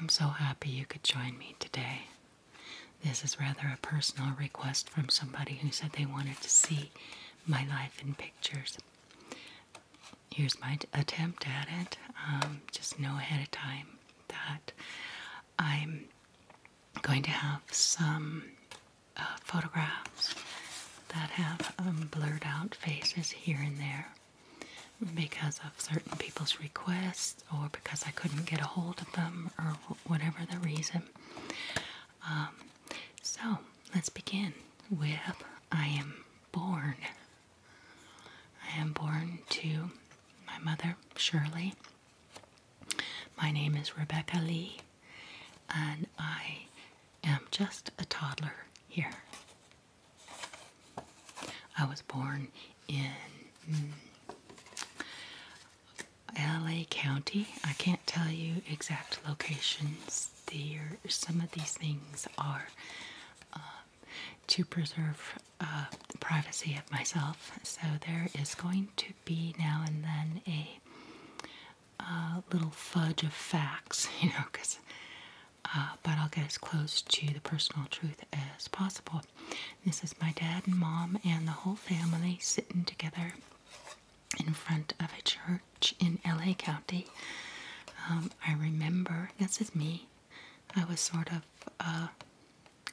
I'm so happy you could join me today. This is rather a personal request from somebody who said they wanted to see my life in pictures. Here's my attempt at it. Um, just know ahead of time that I'm going to have some uh, photographs that have um, blurred out faces here and there because of certain people's requests or because I couldn't get a hold of them or whatever the reason. Um, so let's begin with I am born. I am born to my mother, Shirley, my name is Rebecca Lee, and I am just a toddler here. I was born in hmm, LA County. I can't tell you exact locations. The There, some of these things are um, to preserve uh, privacy of myself. So there is going to be now and then a little fudge of facts, you know, because. Uh, but I'll get as close to the personal truth as possible. This is my dad and mom and the whole family sitting together in front of a church in LA County. Um, I remember, this is me, I was sort of uh,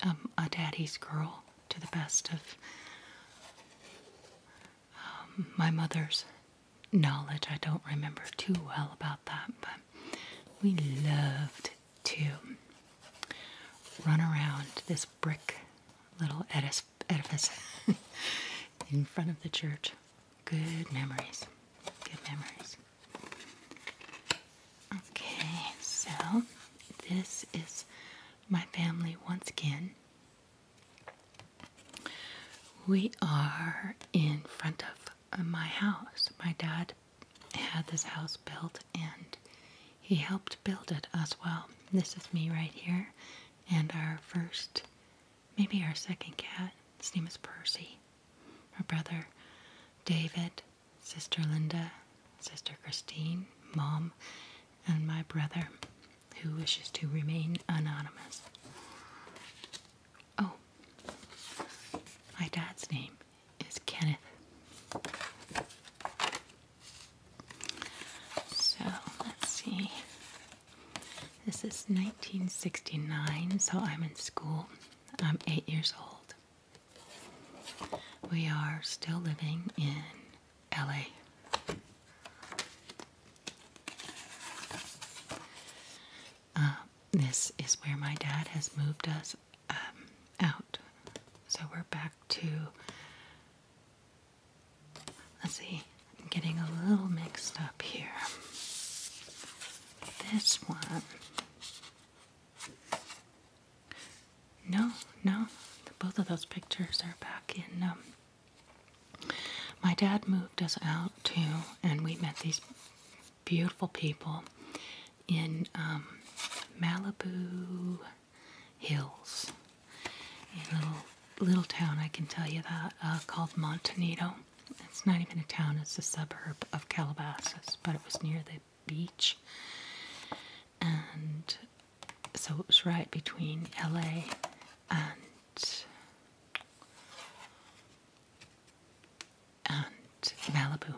um, a daddy's girl to the best of um, my mother's knowledge. I don't remember too well about that, but we loved to run around this brick little edifice in front of the church. Good memories. Good memories. Okay, so this is my family once again. We are in front of my house. My dad had this house built and he helped build it as well. This is me right here and our first, maybe our second cat. His name is Percy. Our brother, David, Sister Linda, Sister Christine, Mom, and my brother, who wishes to remain anonymous. Oh, my dad's name is Kenneth. So let's see. This is 1969, so I'm in school. I'm eight years old. We are still living in LA. Uh, this is where my dad has moved us um, out. So we're back to, let's see, I'm getting a little mixed up here. This one no, no. Both of those pictures are back in. Um, my dad moved us out too, and we met these beautiful people in um, Malibu Hills, a little little town. I can tell you that uh, called Montanito. It's not even a town; it's a suburb of Calabasas, but it was near the beach. And so it was right between LA and and Malibu.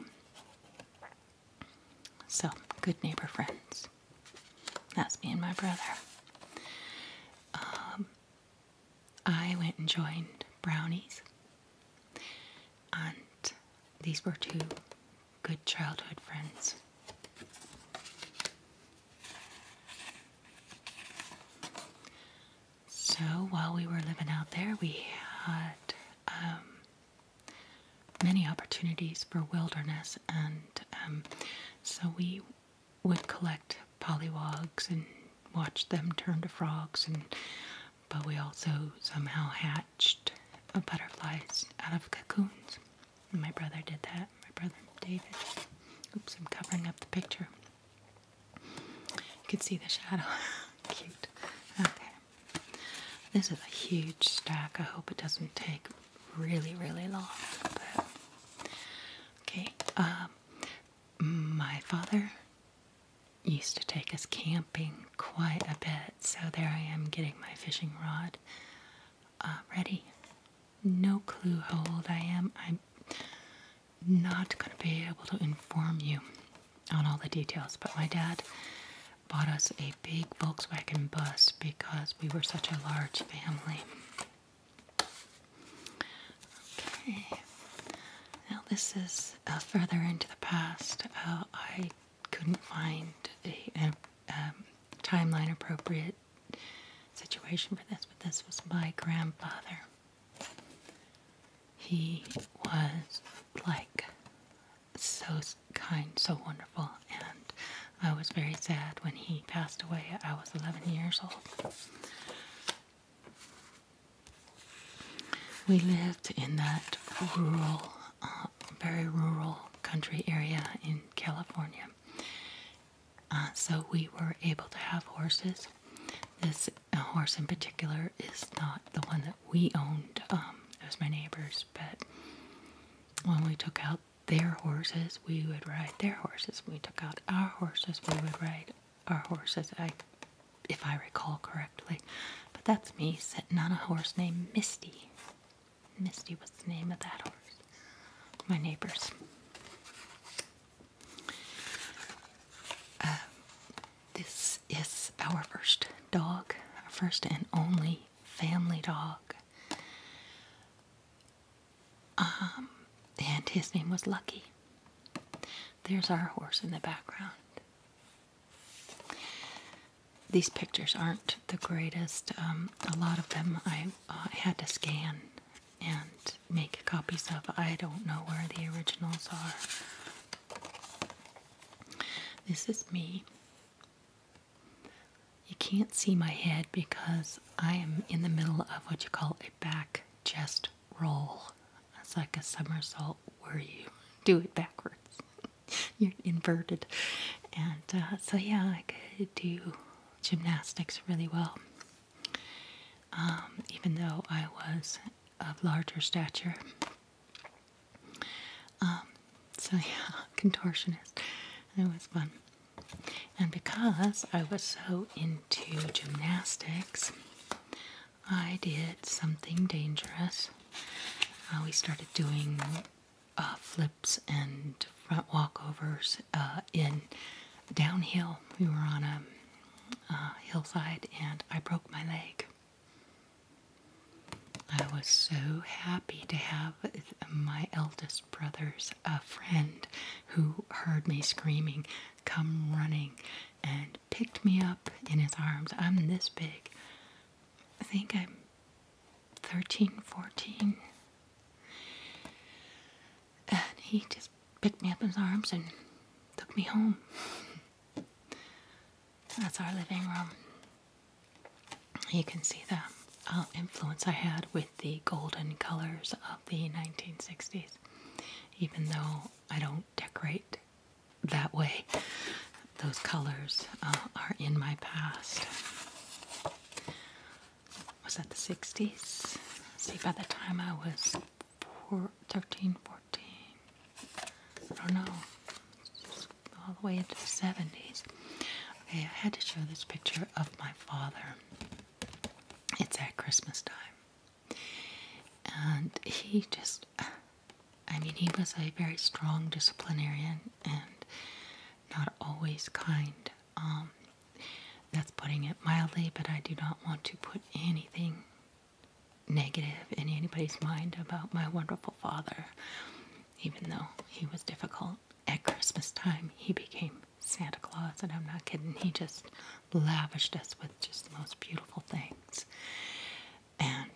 So, good neighbor friends. That's me and my brother. Um, I went and joined Brownies, and these were two good childhood friends. So while we were living out there, we had um, many opportunities for wilderness, and um, so we would collect pollywogs and watch them turn to frogs, and but we also somehow had of butterflies out of cocoons. My brother did that. My brother David. Oops, I'm covering up the picture. You can see the shadow. Cute. Okay. This is a huge stack. I hope it doesn't take really, really long. okay. Um, my father used to take us camping quite a bit so there I am getting my fishing rod uh, ready. No clue how old I am. I'm not going to be able to inform you on all the details, but my dad bought us a big Volkswagen bus because we were such a large family. Okay, now this is uh, further into the past. Uh, I couldn't find a, um, timeline appropriate situation for this, but this was my grandfather. He was like so kind, so wonderful, and I was very sad when he passed away. I was 11 years old. We lived in that rural um, very rural country area in California. Uh, so we were able to have horses. This uh, horse in particular is not the one that we owned. Um, it was my neighbor's, but when we took out their horses, we would ride their horses. we took out our horses, we would ride our horses. if I recall correctly, but that's me sitting on a horse named Misty. Misty what's the name of that horse. My neighbors. Uh, this is our first dog, our first and only family dog. Um, and his name was Lucky. There's our horse in the background these pictures aren't the greatest. Um, a lot of them I uh, had to scan and make copies of. I don't know where the originals are. This is me. You can't see my head because I am in the middle of what you call a back chest roll. It's like a somersault where you do it backwards. You're inverted. And uh, so, yeah, I could do gymnastics really well. Um, even though I was of larger stature. Um, so, yeah, contortionist. It was fun. And because I was so into gymnastics, I did something dangerous. Uh, we started doing uh, flips and front walkovers uh, in downhill. We were on a uh, hillside and I broke my leg. I was so happy to have my eldest brother's a friend who heard me screaming come running and picked me up in his arms. I'm this big. I think I'm 13, 14. And he just picked me up in his arms and took me home. That's our living room. You can see the uh, influence I had with the golden colors of the 1960s, even though I don't decorate that way those colors uh, are in my past. Was that the 60s? See, by the time I was 13, 14, I don't know, all the way into the 70s. Okay, I had to show this picture of my father. It's at Christmas time. And he just, I mean, he was a very strong disciplinarian and not always kind. Um, that's putting it mildly, but I do not want to put anything negative in anybody's mind about my wonderful father. Even though he was difficult at Christmas time, he became Santa Claus, and I'm not kidding. He just lavished us with just the most beautiful things. And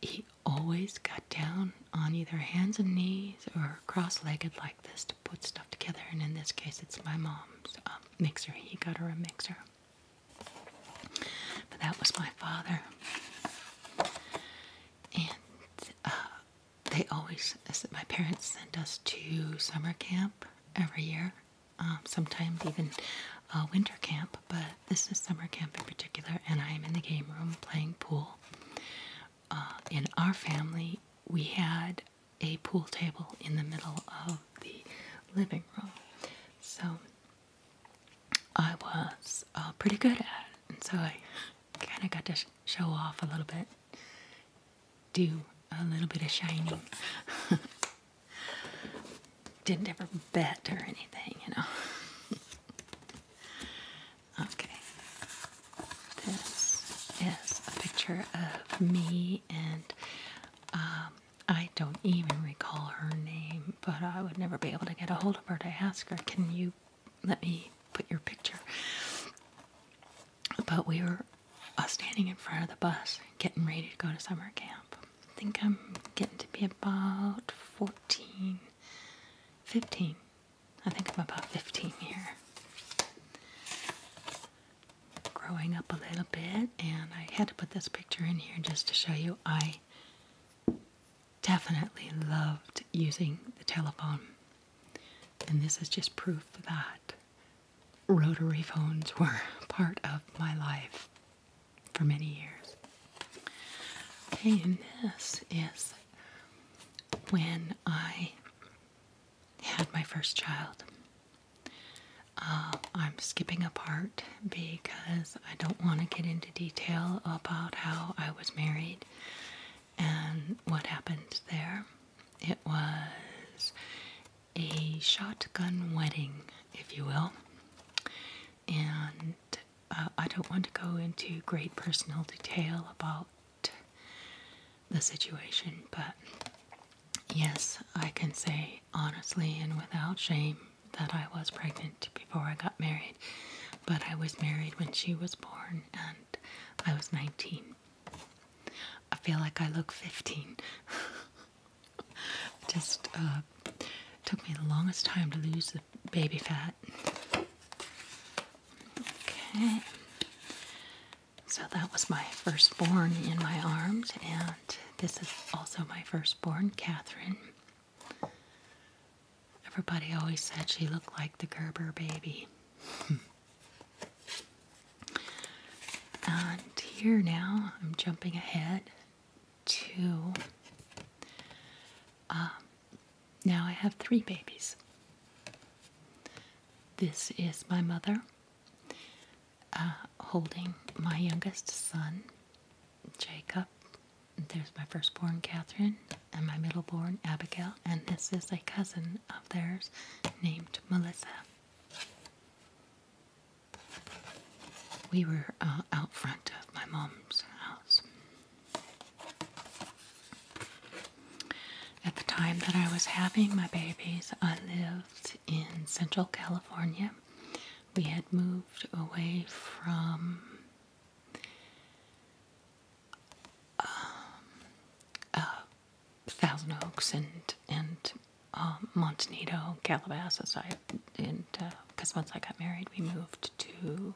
he always got down on either hands and knees or cross-legged like this to put stuff together and in this case it's my mom's um, mixer he got her a mixer but that was my father and uh, they always my parents sent us to summer camp every year um, sometimes even uh, winter camp but this is summer camp in particular and i am in the game room playing pool uh, in our family, we had a pool table in the middle of the living room. So I was uh, pretty good at it. And so I kind of got to show off a little bit, do a little bit of shining. Didn't ever bet or anything, you know. Okay. This is a picture of me, and um, I don't even recall her name, but I would never be able to get a hold of her to ask her, Can you let me put your picture? But we were uh, standing in front of the bus getting ready to go to summer camp. I think I'm getting to be about 14, 15 I think I'm about 15 here. Growing up a little bit, and I had to put this picture in here just to show you I definitely loved using the telephone. And this is just proof that rotary phones were part of my life for many years. and this is when I had my first child. Uh, I'm skipping a part because I don't want to get into detail about how I was married and what happened there. It was a shotgun wedding, if you will, and uh, I don't want to go into great personal detail about the situation, but yes, I can say honestly and without shame that I was pregnant before I got married, but I was married when she was born and I was 19. I feel like I look 15. Just uh, took me the longest time to lose the baby fat. Okay. So that was my firstborn in my arms, and this is also my firstborn, Catherine. Everybody always said she looked like the Gerber baby. and here now, I'm jumping ahead to um, now I have three babies. This is my mother uh, holding my youngest son, Jacob. There's my firstborn, Catherine, and my middleborn, Abigail, and this is a cousin of theirs named Melissa. We were uh, out front of my mom's house at the time that I was having my babies, I lived in Central California. We had moved away from um, uh, Thousand Oaks and and um, Montanito, Calabasas. I and because uh, once I got married, we moved to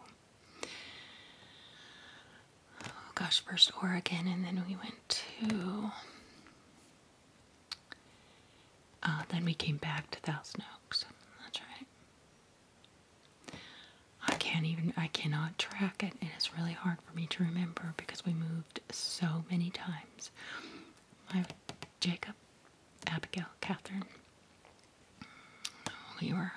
gosh, first Oregon, and then we went to. Uh, then we came back to Thousand Oaks. That's right. I can't even, I cannot track it, and it's really hard for me to remember because we moved so many times. My Jacob, Abigail, Catherine. We were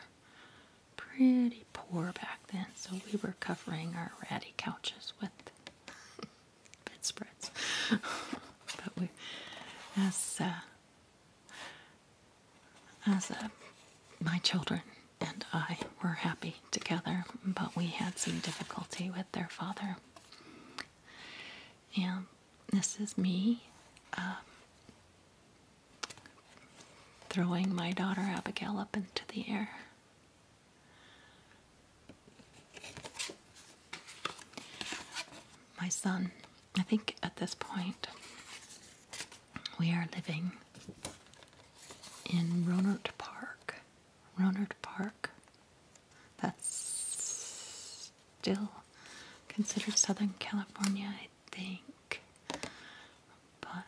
pretty poor back then, so we were covering our ratty couches with bedspreads. but we, as uh, as uh, my children and I were happy together, but we had some difficulty with their father. And this is me. Uh, throwing my daughter Abigail up into the air. My son, I think at this point we are living in Ronard Park. Ronard Park, that's still considered Southern California, think. But uh,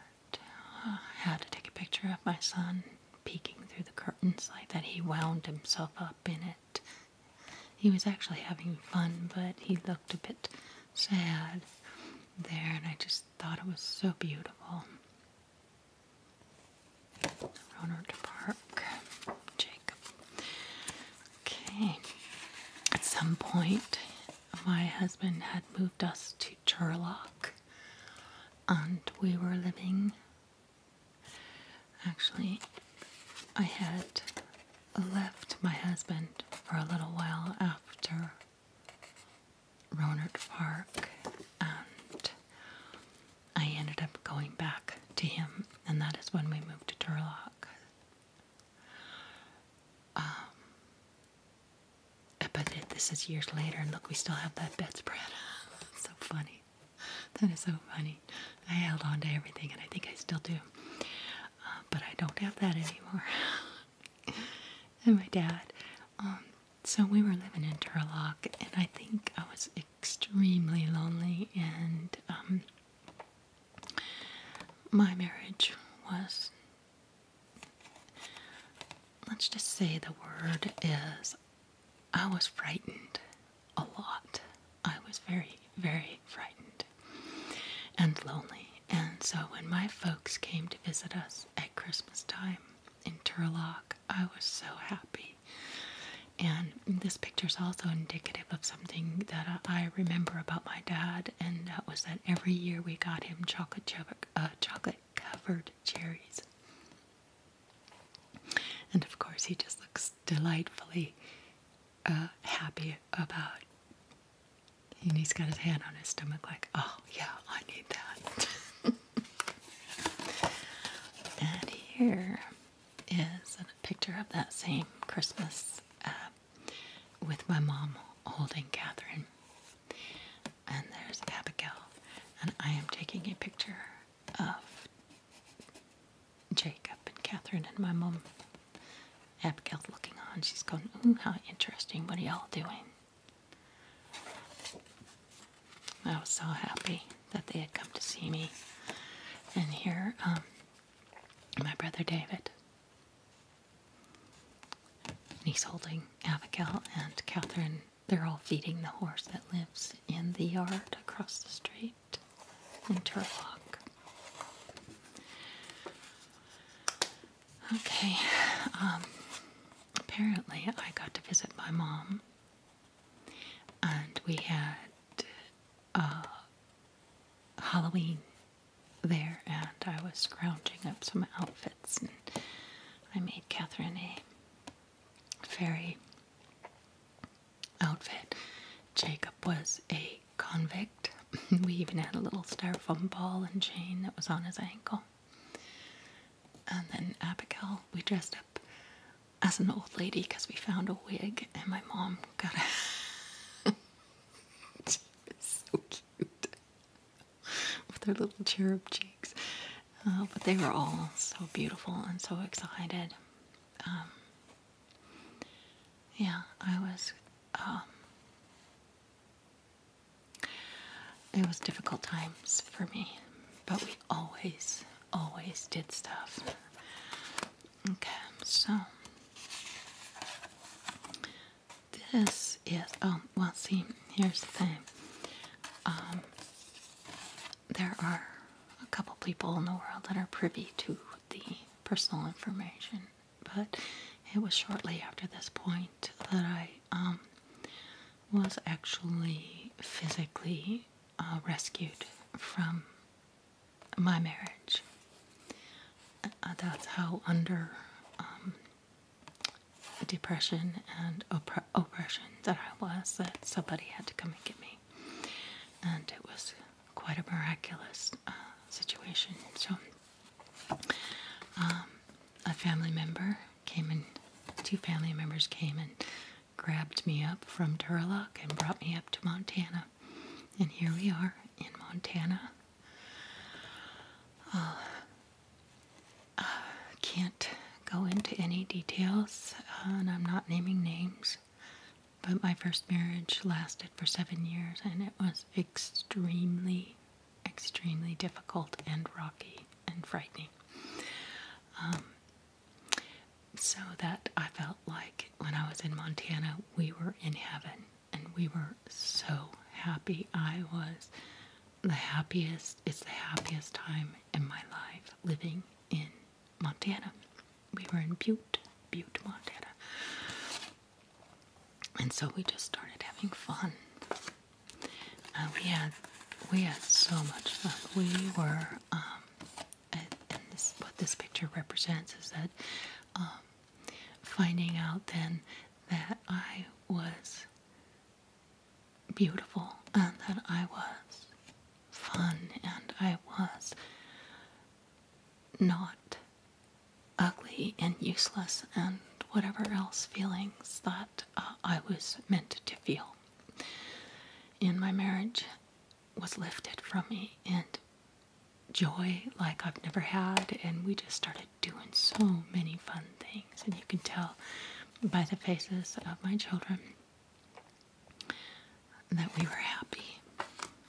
I had to take a picture of my son peeking through the curtains like that. He wound himself up in it. He was actually having fun, but he looked a bit sad there, and I just thought it was so beautiful. Ronard Park, Jacob. Okay. At some point, my husband had moved. Dust to Turlock, and we were living. Actually, I had left my husband for a little while after Ronard Park, and I ended up going back to him, and that is when we moved to Turlock. Um, but it, this is years later, and look, we still have that bedspread. That's so funny. That is so funny. I held on to everything, and I think I still do. Uh, but I don't have that anymore. and my dad. Um, so we were living in Turlock, and I think I was extremely lonely, and um, my marriage was Let's just say the word is I was frightened a lot. I was very, very frightened and lonely. And so when my folks came to visit us at Christmas time in Turlock, I was so happy. And this picture is also indicative of something that I remember about my dad and that was that every year we got him chocolate chocolate, uh, chocolate covered cherries. And of course, he just looks delightfully uh, happy about. And he's got his hand on his stomach, like, oh yeah, I need that. and here is a picture of that same Christmas uh, with my mom holding Catherine. And there's Abigail. And I am taking a picture of Jacob and Catherine and my mom. Abigail looking on. She's going, ooh, how interesting. What are y'all doing? I was so happy that they had come to see me. And here, um, my brother David and he's holding Abigail and Catherine. They're all feeding the horse that lives in the yard across the street in Turlock. Okay, um, apparently I got to visit my mom, and we had uh, Halloween there, and I was scrounging up some outfits, and I made Catherine a fairy outfit. Jacob was a convict. we even had a little styrofoam ball and chain that was on his ankle. And then Abigail, we dressed up as an old lady because we found a wig, and my mom got it. so cute. with their little cherub cheeks. Uh, but they were all so beautiful and so excited. Um, yeah, I was. Um, it was difficult times for me, but we always, always did stuff. Okay, so this is oh well. See, here's the thing. Um, there are a couple people in the world that are privy to the personal information, but it was shortly after this point that I um, was actually physically uh, rescued from my marriage. Uh, that's how under depression and oppression that I was, that somebody had to come and get me. And it was quite a miraculous uh, situation. So, um, a family member came and two family members came and grabbed me up from Turlock and brought me up to Montana. And here we are in Montana I uh, uh, can't go into any details, uh, and I'm not naming names, but my first marriage lasted for seven years and it was extremely, extremely difficult and rocky and frightening. Um, so that I felt like when I was in Montana, we were in heaven and we were so happy. I was the happiest, it's the happiest time in my life living in Montana. We were in Butte, Butte, Montana. And so we just started having fun. Uh, we had we had so much fun. We were, um, and, what this picture represents is that um, finding out then that I was beautiful and that I was fun and I was not ugly and useless and whatever else feelings that uh, I was meant to feel in my marriage was lifted from me and joy like I've never had and we just started doing so many fun things. And you can tell by the faces of my children that we were happy,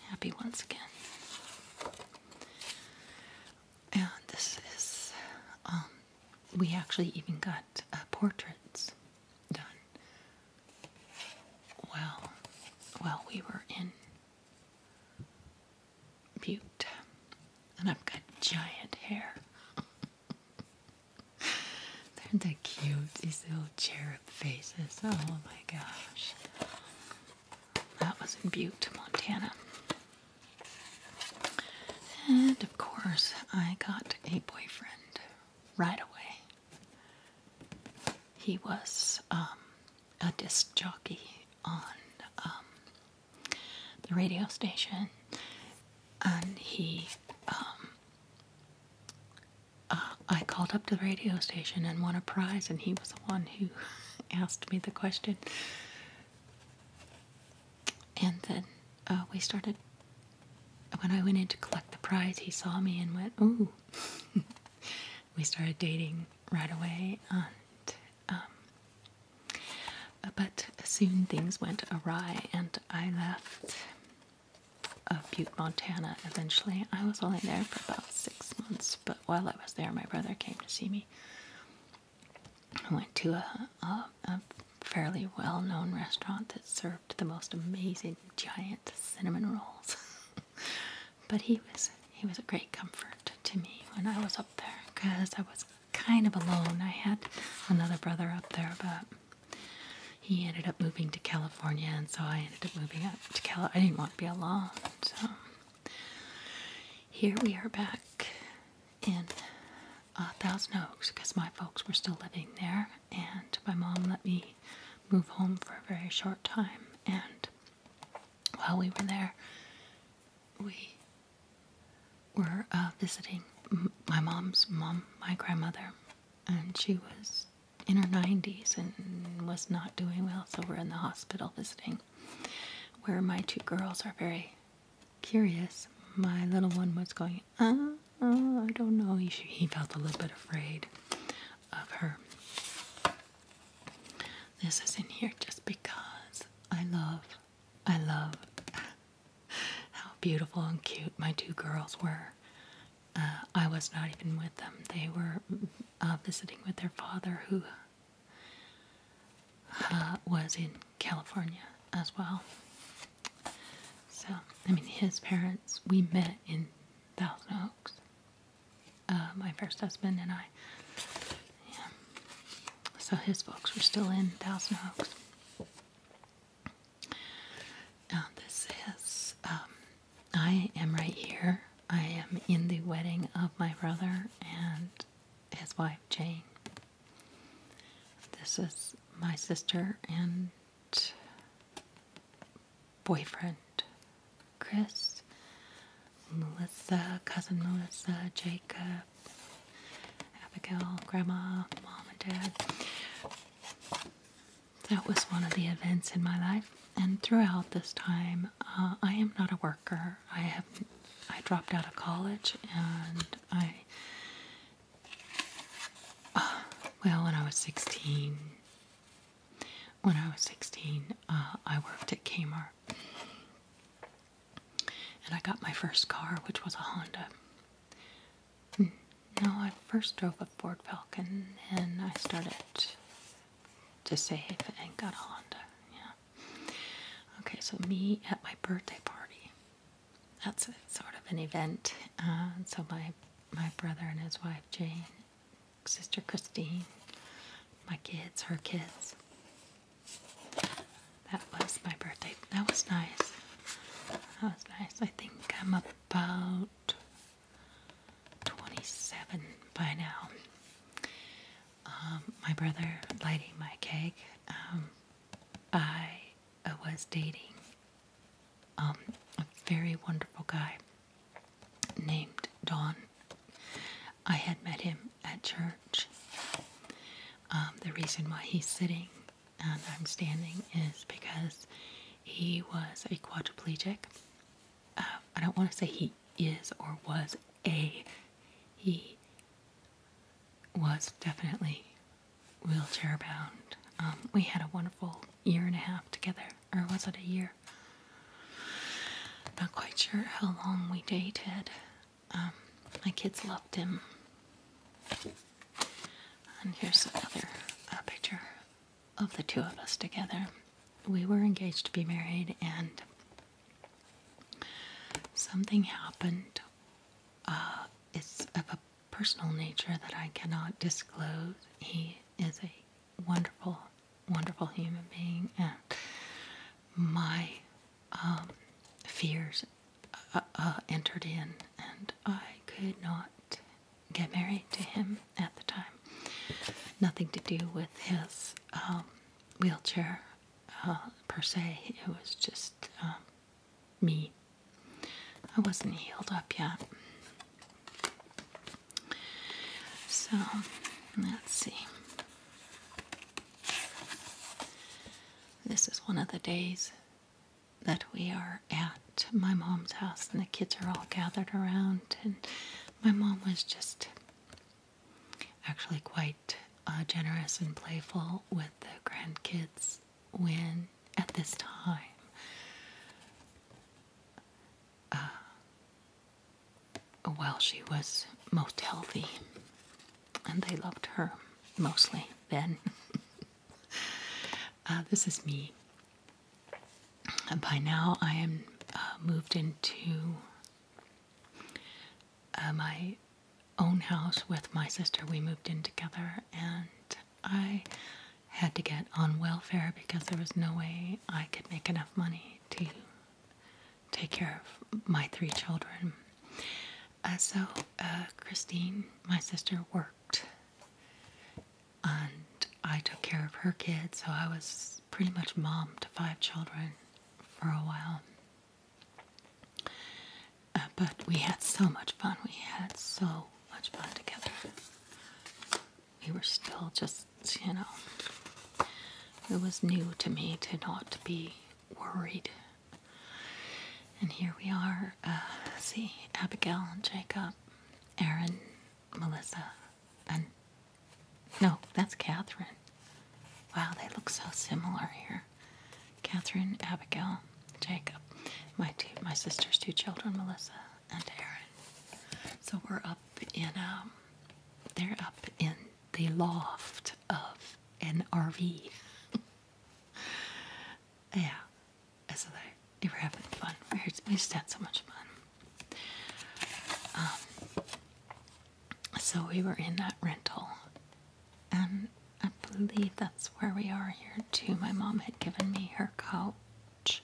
happy once again. And this is, um, we actually even got uh, portraits done. Well, while we were in Butte. And I've got giant hair. They're the cute, these little cherub faces. Oh my gosh. That was in Butte, Montana. And of course, I got a boyfriend right away. He was um, a disc jockey on um, the radio station, and he, um, uh, I called up to the radio station and won a prize, and he was the one who asked me the question. And then uh, we started. When I went in to collect the prize, he saw me and went, "Ooh." we started dating right away, and um, but soon things went awry, and I left uh, Butte, Montana. Eventually, I was only there for about six months. But while I was there, my brother came to see me. I went to a, a fairly well-known restaurant that served the most amazing giant cinnamon rolls. but he was he was a great comfort to me when I was up there because I was kind of alone. I had another brother up there, but he ended up moving to California, and so I ended up moving up to Cal. I didn't want to be alone, so here we are back in uh, Thousand Oaks because my folks were still living there, and my mom let me move home for a very short time. And while we were there, we we're uh, visiting my mom's mom, my grandmother, and she was in her 90s and was not doing well, so we're in the hospital visiting. Where my two girls are very curious. My little one was going, uh, uh, I don't know. he felt a little bit afraid of her. This is in here just because I love I love how beautiful and cute my two girls were. Uh, I was not even with them. They were uh, visiting with their father, who uh, was in California as well. So, I mean, his parents, we met in Thousand Oaks, my first husband and I. Yeah. So his folks were still in Thousand Oaks. this is, um, I am right here. I am in the wedding of my brother and his wife Jane. This is my sister and boyfriend, Chris. Melissa, cousin Melissa, Jacob, Abigail, Grandma, Mom, and Dad. That was one of the events in my life, and throughout this time, uh, I am not a worker. I have I dropped out of college, and I well, when I was sixteen, when I was sixteen, uh, I worked at Kmart. And I got my first car, which was a Honda. Hmm. No, I first drove a Ford Falcon, and I started to save and got a Honda. Yeah. Okay, so me at my birthday party. That's sort of an event. Uh, so my my brother and his wife Jane, sister Christine, my kids, her kids, that was my birthday. That was nice. That was nice. I think I'm about 27 by now. Um, my brother lighting my cake. Um, I was dating um, a very wonderful guy named Don. I had met him at church. Um, the reason why he's sitting and I'm standing is because he was a quadriplegic. Uh, I don't want to say he is or was a, he was definitely wheelchair bound. Um, we had a wonderful year and a half together, or was it a year? Not quite sure how long we dated. Um, my kids loved him. And here's another uh, picture of the two of us together. We were engaged to be married, and something happened. Uh, it's of a personal nature that I cannot disclose. He is a wonderful, wonderful human being, and my um, fears uh, uh, entered in, and I could not get married to him at the time. Nothing to do with his um, wheelchair uh, per se, it was just um, me. I wasn't healed up yet. So, let's see. This is one of the days that we are at my mom's house, and the kids are all gathered around. And my mom was just actually quite uh, generous and playful with the grandkids when at this time. Uh, while she was most healthy and they loved her mostly then. Uh, this is me. by now, I am uh, moved into uh, my own house with my sister. We moved in together, and I had to get on welfare because there was no way I could make enough money to take care of my three children. Uh, so, uh, Christine, my sister, worked and I took care of her kids, so I was pretty much mom to five children for a while. Uh, but we had so much fun. We had so much fun together. We were still just, you know, it was new to me to not be worried. And here we are. Uh, see, Abigail, and Jacob, Aaron, Melissa, and no, that's Catherine. Wow, they look so similar here. Catherine, Abigail, Jacob, my two, my sister's two children, Melissa and Aaron. So we're up in um, they're up in the loft of an RV. yeah, so they, were having fun. We just had so much fun. Um, so we were in that rental, and I believe that's where we are here too. My mom had given me her couch,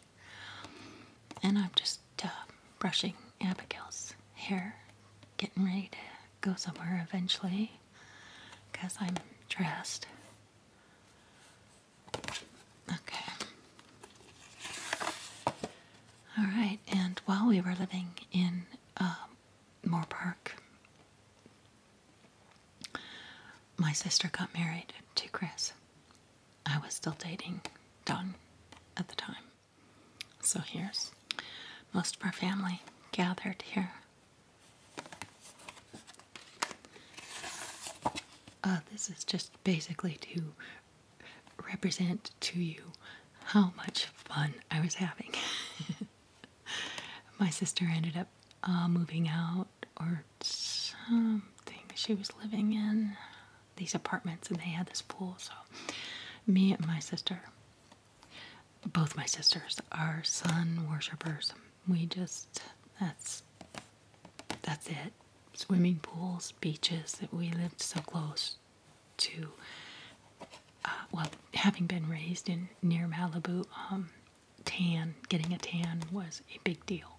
and I'm just uh, brushing Abigail's hair, getting ready to go somewhere eventually because I'm dressed. Okay. All right, and while we were living in uh, Park, my sister got married to Chris. I was still dating Don at the time. So here's most of our family gathered here. Uh, this is just basically to represent to you how much fun I was having. My sister ended up uh, moving out or something. She was living in these apartments and they had this pool. So, me and my sister both my sisters are sun worshippers. We just that's that's it. Swimming pools, beaches. That we lived so close to. Uh, well, having been raised in near Malibu, um, tan getting a tan was a big deal.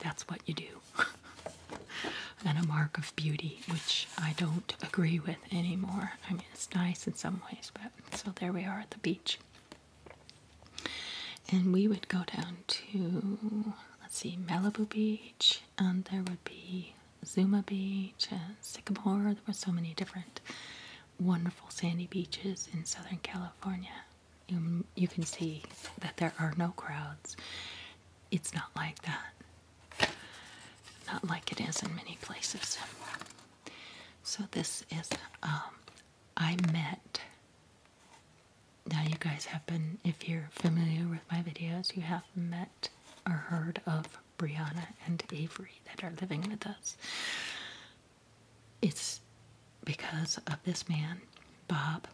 That's what you do. and a mark of beauty, which I don't agree with anymore. I mean, it's nice in some ways, but so there we are at the beach. And we would go down to, let's see, Malibu Beach, and there would be Zuma Beach, and Sycamore. There were so many different wonderful sandy beaches in Southern California. You, you can see that there are no crowds. It's not like that. Not like it is in many places. So this is um, I met. Now you guys have been, if you're familiar with my videos, you have met or heard of Brianna and Avery that are living with us. It's because of this man, Bob,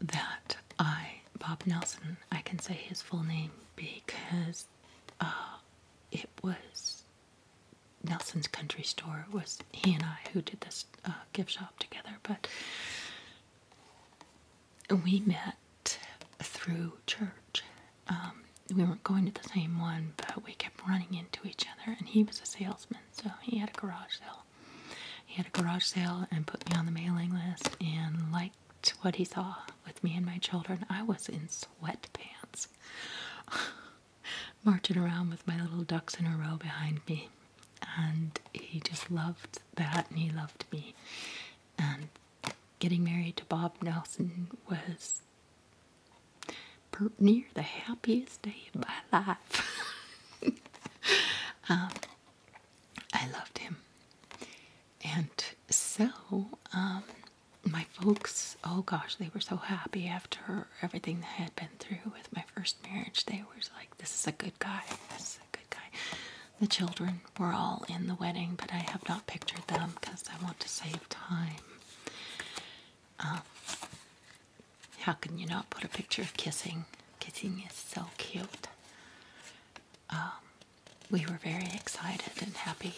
that I, Bob Nelson, I can say his full name because uh, it was Nelson's Country Store. It was he and I who did this uh, gift shop together, but we met through church. Um, we weren't going to the same one, but we kept running into each other. And he was a salesman, so he had a garage sale. He had a garage sale and put me on the mailing list. And like liked what he saw with me and my children. I was in sweatpants, marching around with my little ducks in a row behind me. And he just loved that, and he loved me. And getting married to Bob Nelson was near the happiest day of my life. Um, I loved him. And so, um, my folks, oh gosh, they were so happy after everything that had been through with my first marriage. They were like, this is a good guy. This is a good guy. The children were all in the wedding, but I have not pictured them because I want to save time. Um, how can you not put a picture of kissing? Kissing is so cute. Um, we were very excited and happy.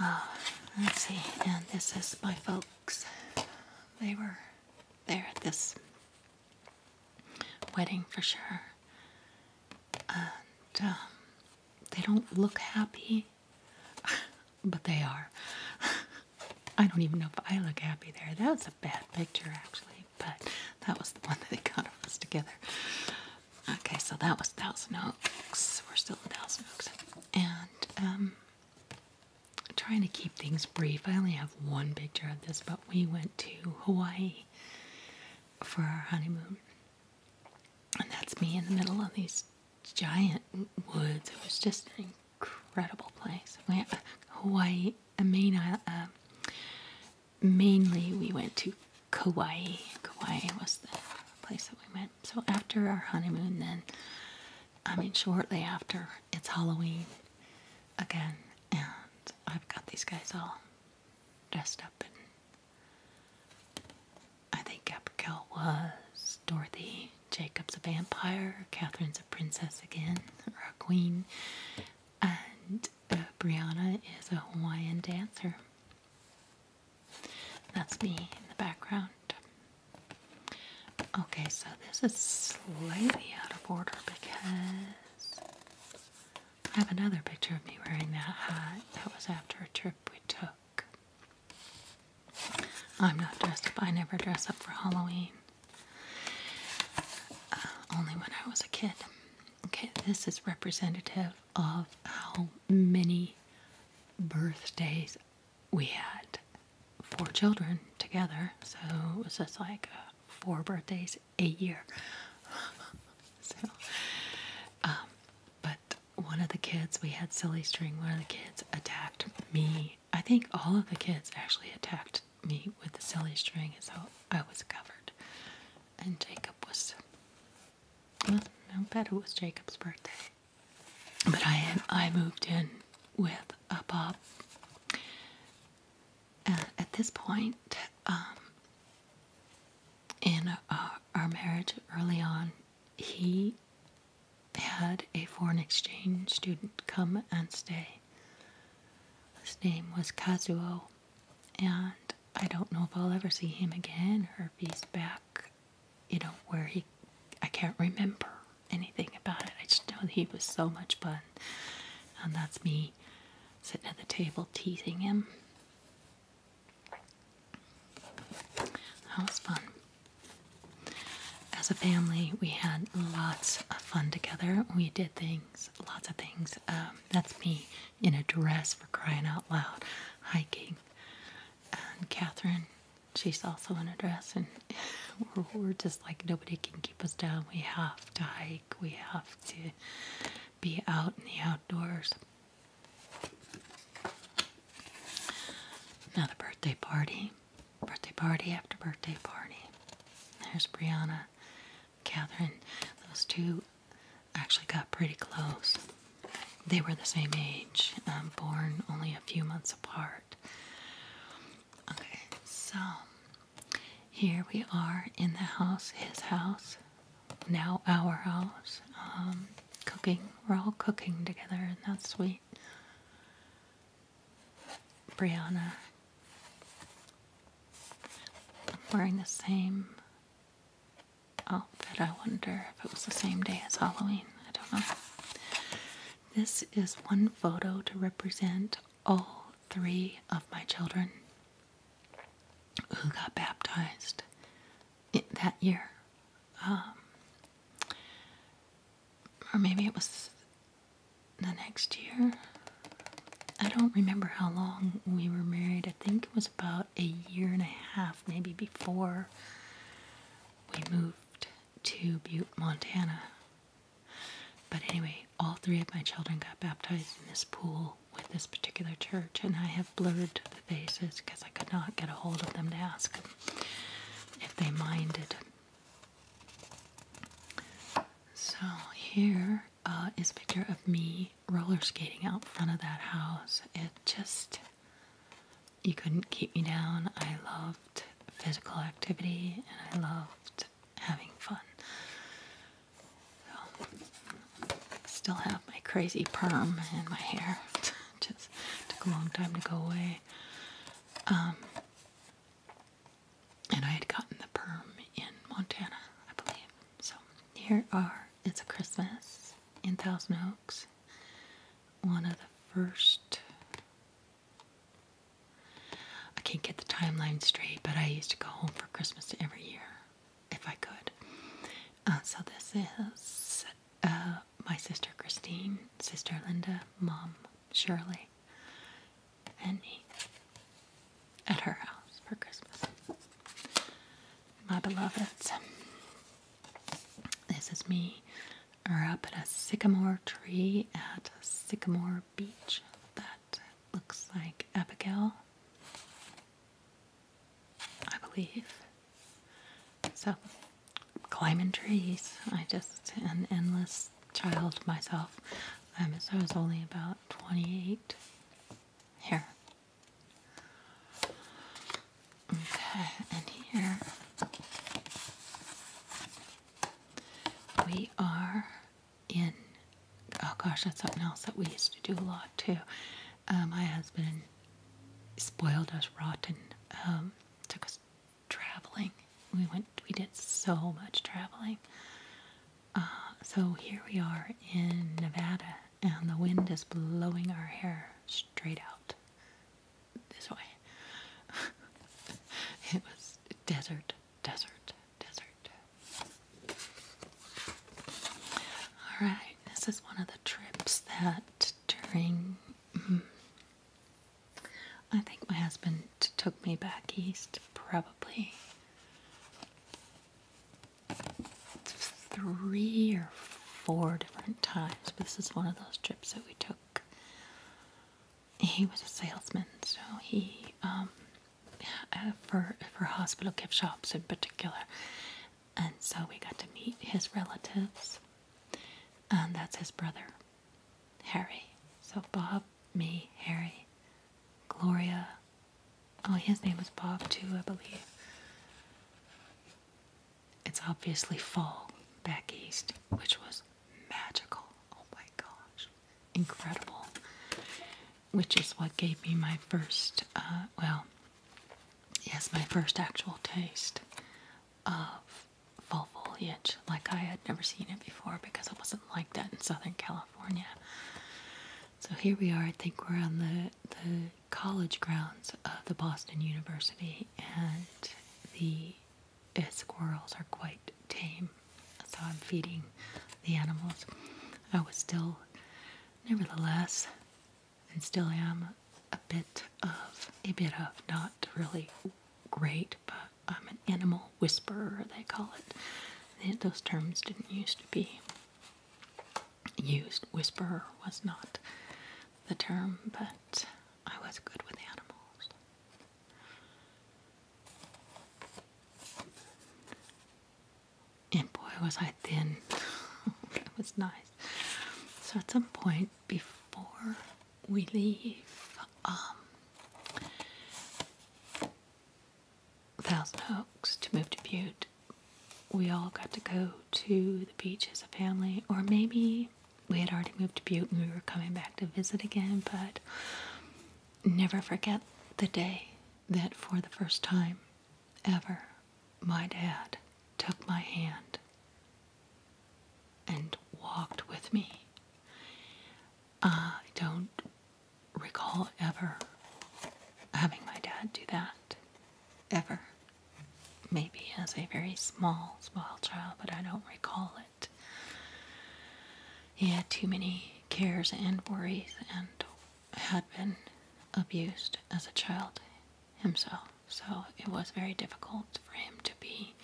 Uh, let's see, and this is my folks. They were there at this wedding for sure. And um, they don't look happy, but they are. I don't even know if I look happy there. That was a bad picture, actually but that was the one that they got us together. Okay, so that was Thousand Oaks. We're still in Thousand Oaks. And I'm um, trying to keep things brief. I only have one picture of this, but we went to Hawaii for our honeymoon. And that's me in the middle of these giant woods. It was just an incredible place. We Hawaii, a main island. Uh, mainly we went to Kauai. Kauai was the place that we went. So after our honeymoon, then, I mean, shortly after, it's Halloween again, and I've got these guys all dressed up And I think Abigail was Dorothy, Jacob's a vampire, Catherine's a princess again, or a queen, and uh, Brianna is a Hawaiian dancer. That's me in the background. Okay, so this is slightly out of order because I have another picture of me wearing that hat. That was after a trip we took. I'm not dressed up. I never dress up for Halloween. Uh, only when I was a kid. Okay, this is representative of how many birthdays we had. Four children together, so it was just like uh, four birthdays a year. Um, but one of the kids, we had silly string. One of the kids attacked me. I think all of the kids actually attacked me with the silly string, and so I was covered and Jacob was I bet it was Jacob's birthday. But I I moved in with a pup. at this point, um, in uh, our marriage early on, he had a foreign exchange student come and stay. His name was Kazuo, and I don't know if I'll ever see him again or if he's back, you know, where he, I can't remember anything about it. I just know he was so much fun. And that's me sitting at the table teasing him. That was fun. As a family, we had lots of fun together. We did things lots of things. Um, that's me in a dress for crying out loud, hiking. Catherine, she's also in a dress, and we're, just like nobody can keep us down. We have to hike, we have to be out in the outdoors. Another birthday party, birthday party after birthday party. There's Brianna. Catherine, those two actually got pretty close. They were the same age, um, born only a few months apart. Okay, so here we are in the house, his house, now our house. Um, cooking, we're all cooking together, and that's sweet. Brianna. wearing the same I'll oh, bet I wonder if it was the same day as Halloween. I don't know. This is one photo to represent all three of my children who got baptized that year. Um, or maybe it was the next year. I don't remember how long we were married. I think it was about a year and a half, maybe before we moved to Butte, Montana. But anyway, all three of my children got baptized in this pool with this particular church, and I have blurred the faces because I could not get a hold of them to ask if they minded. So here uh, is a picture of me roller skating out front of that house. It just, you couldn't keep me down. I loved physical activity and I loved having fun. still have my crazy perm in my hair. just took a long time to go away. Um, and I had gotten the perm in Montana, I believe. So here are It's a Christmas in Thousand Oaks. One of the first I can't get the timeline straight, but I used to go home for Christmas every year if I could. Uh, so this is uh, my sister Christine, sister Linda, mom Shirley, and me at her house for Christmas. My beloveds, this is me. We're up in a sycamore tree at Sycamore Beach. That looks like Abigail, I believe. So, climbing trees. I just an endless child myself. Um, I was only about 28 here Okay, and here we are in. Oh gosh, that's something else that we used to do a lot too. Uh, my husband spoiled us rotten. Um, took us traveling. We went. We did so much traveling. Uh, so here we are in Nevada, and the wind is blowing our hair straight out this way. it was desert, desert, desert. All right, this is one of the trips that during. Mm, I think my husband took me back east, probably three or four different times. This is one of those trips that we took. He was a salesman, so he, um, uh, for for hospital gift shops in particular, and so we got to meet his relatives, and that's his brother, Harry. So Bob, me, Harry, Gloria, Oh, his name was Bob too, I believe. It's obviously fall back east, which was magical. Oh my gosh. Incredible. Which is what gave me my first, uh, well, yes, my first actual taste of fall foliage. Like I had never seen it before because it wasn't like that in Southern California. So here we are. I think we're on the the college grounds of the Boston University, and the eh, squirrels are quite tame. So I'm feeding the animals. I was still, nevertheless, and still am a bit of a bit of not really great, but I'm an animal whisperer. They call it. Those terms didn't used to be used. Whisperer was not the term, but I was good with animals. And boy, was I thin. that was nice. So at some point before we leave, um, Thousand Oaks to move to Butte, we all got to go to the beach as a family, or maybe we had already moved to Butte and we were coming back to visit again, but never forget the day that for the first time ever my dad took my hand and walked with me. I don't recall ever having my dad do that. Ever. Maybe as a very small, small child, but I don't recall it. He had too many cares and worries and had been abused as a child himself. So it was very difficult for him to be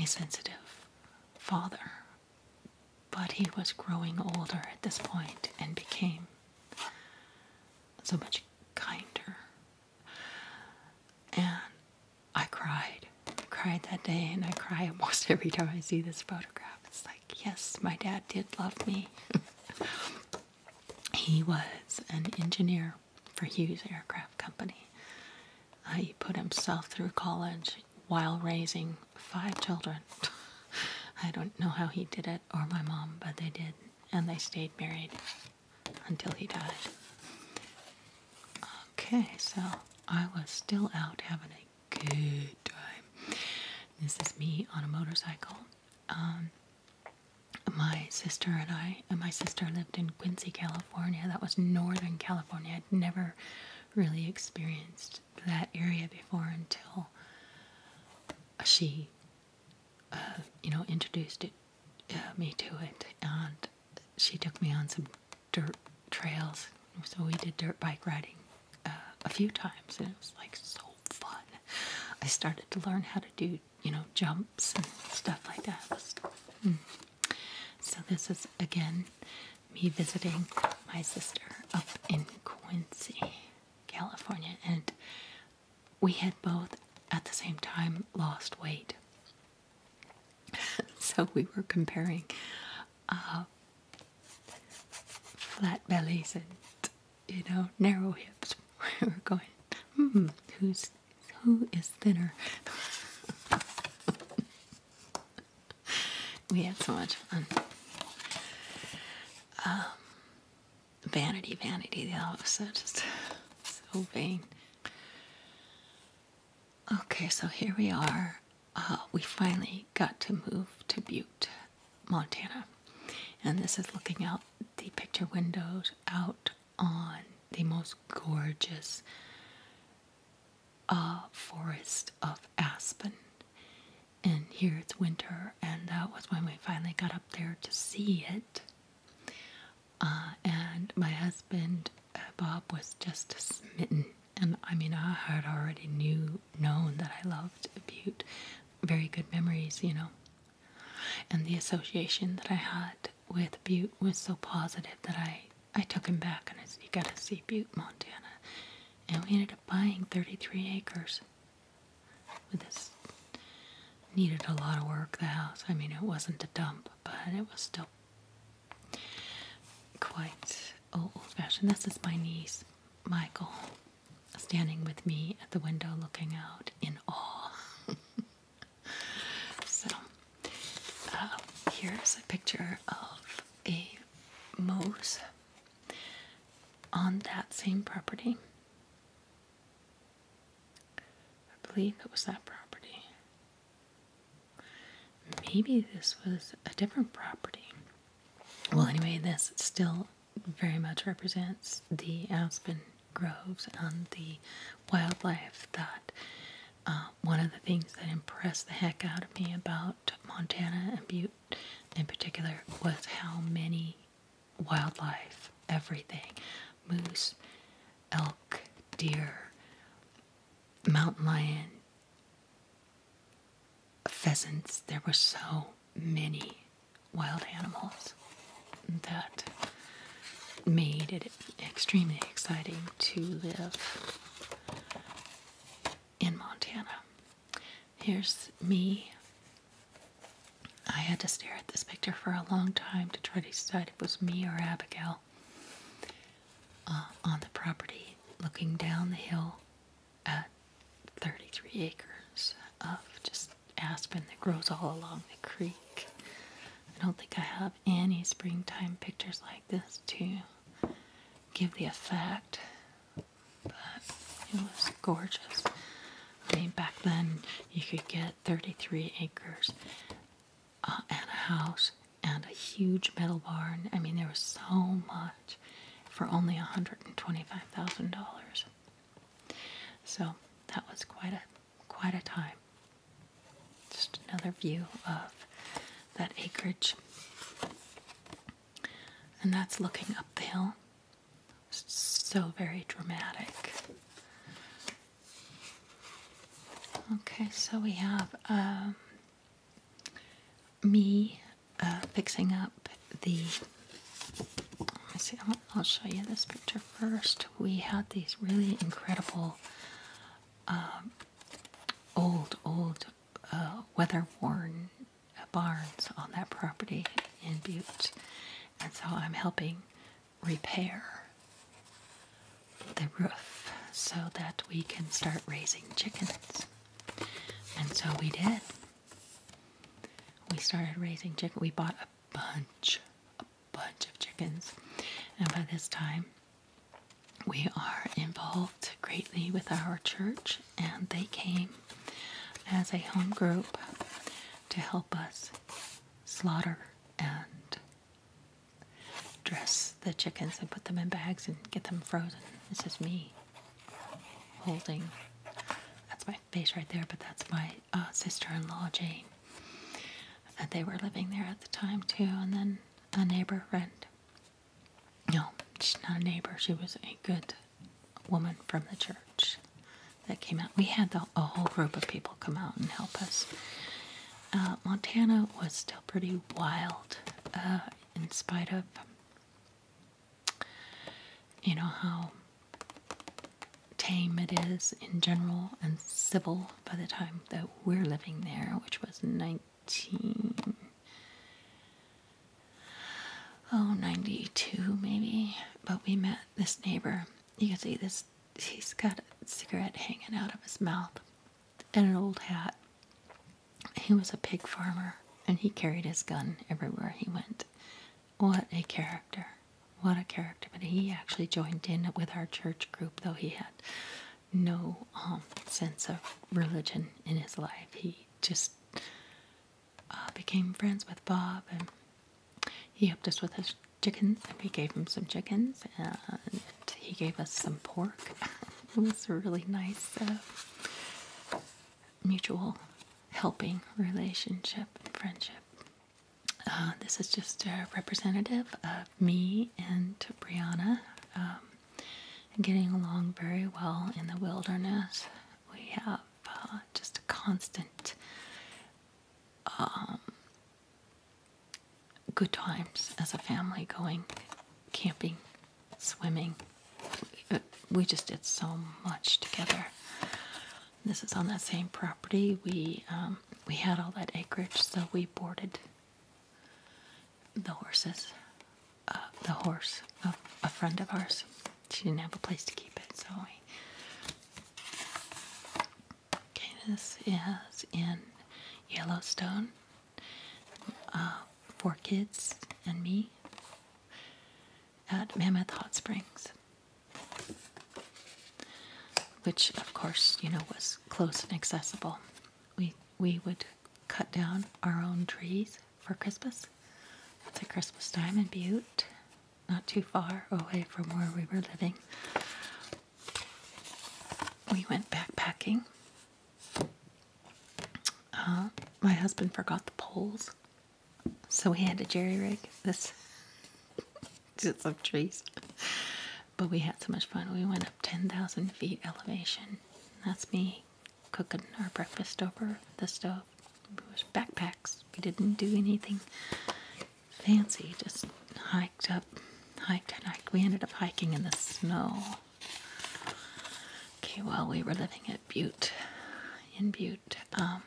a sensitive father but he was growing older at this point and became so much kinder. And I cried. I cried that day, and I cry almost every time I see this photograph. It's like, yes, my dad did love me. he was an engineer for Hughes Aircraft Company. Uh, he put himself through college while raising five children. I don't know how he did it or my mom, but they did. And they stayed married until he died. Okay, so I was still out having a good time. This is me on a motorcycle. Um, my sister and I, and my sister lived in Quincy, California. That was Northern California. I'd never really experienced that area before until she, uh, you know, introduced uh, me to it, and she took me on some dirt trails. So we did dirt bike riding uh, a few times, and it was like so fun. I started to learn how to do, you know, jumps and stuff like that. Hmm. So this is again me visiting my sister up in Quincy. California, and we had both at the same time lost weight. so we were comparing uh, flat bellies and you know narrow hips. we were going, hmm, who's who is thinner? we had so much fun um, vanity, vanity. the all so just so vain. Okay, so here we are. Uh, we finally got to move to Butte, Montana, and this is looking out the picture windows out on the most gorgeous uh, forest of aspen and here it's winter, and that was when we finally got up there to see it. Uh, and my husband uh, Bob was just smitten, and I mean, I had already knew known that I loved Butte, very good memories, you know. And the association that I had with Butte was so positive that I I took him back and I said, "You gotta see Butte, Montana," and we ended up buying 33 acres this needed a lot of work, the house. I mean, it wasn't a dump, but it was still quite old fashioned. This is my niece, Michael, standing with me at the window looking out in awe. so, uh, here's a picture of a moose on that same property. I believe it was that property. Maybe this was a different property. Well, anyway, this still very much represents the aspen groves and the wildlife that uh, one of the things that impressed the heck out of me about Montana and Butte in particular was how many wildlife, everything moose, elk, deer, mountain lion, pheasants. There were so many wild animals that made it extremely exciting to live in Montana. Here's me I had to stare at this picture for a long time to try to decide if it was me or Abigail uh, on the property looking down the hill at 33 acres of just aspen that grows all along the creek. I don't think I have any springtime pictures like this to give the effect but it was gorgeous. I mean, back then you could get 33 acres uh, and a house and a huge metal barn. I mean, there was so much for only $125,000. So that was quite a quite a time. Just another view of that acreage. And that's looking up the hill. So very dramatic. Okay, so we have um, me uh, fixing up the. Let me see, I'll, show you this picture first. We had these really incredible um, old, old uh, weather worn barns on that property in Butte. And so I'm helping repair the roof so that we can start raising chickens. And so we did. We started raising chickens. We bought a bunch, a bunch of chickens. And by this time, we are involved greatly with our church and they came as a home group to help us slaughter and dress the chickens and put them in bags and get them frozen. This is me holding. That's my face right there, but that's my uh, sister-in-law, Jane. And they were living there at the time too, and then a neighbor friend. No, she's not a neighbor. She was a good woman from the church that came out. We had a whole group of people come out and help us. Uh, Montana was still pretty wild, uh, in spite of, you know, how tame it is in general and civil by the time that we're living there, which was 19 oh 92 maybe but we met this neighbor you can see this he's got a cigarette hanging out of his mouth and an old hat he was a pig farmer and he carried his gun everywhere he went what a character what a character but he actually joined in with our church group though he had no um, sense of religion in his life he just uh, became friends with Bob, and he helped us with his chickens. And we gave him some chickens, and he gave us some pork. it was a really nice uh, mutual helping relationship and friendship. Uh, this is just a representative of me and Brianna um, getting along very well in the wilderness. We have uh, just a constant um, good times as a family going camping, swimming. We just did so much together. This is on that same property. We um, we had all that acreage, so we boarded the horses, uh, the horse, a, a friend of ours she didn't have a place to keep it, so I. Okay, this is in Yellowstone. Uh, for kids and me at Mammoth Hot Springs, which, of course, you know, was close and accessible. We we would cut down our own trees for Christmas. It's a Christmas time in Butte, not too far away from where we were living. We went backpacking. Uh, my husband forgot the poles, so we had to jerry rig this to some trees. But we had so much fun. We went up 10,000 feet elevation. That's me cooking our breakfast over the stove backpacks. We didn't do anything fancy. Just hiked up, hiked and hiked. We ended up hiking in the snow. Okay, well, we were living at Butte, in Butte. Um,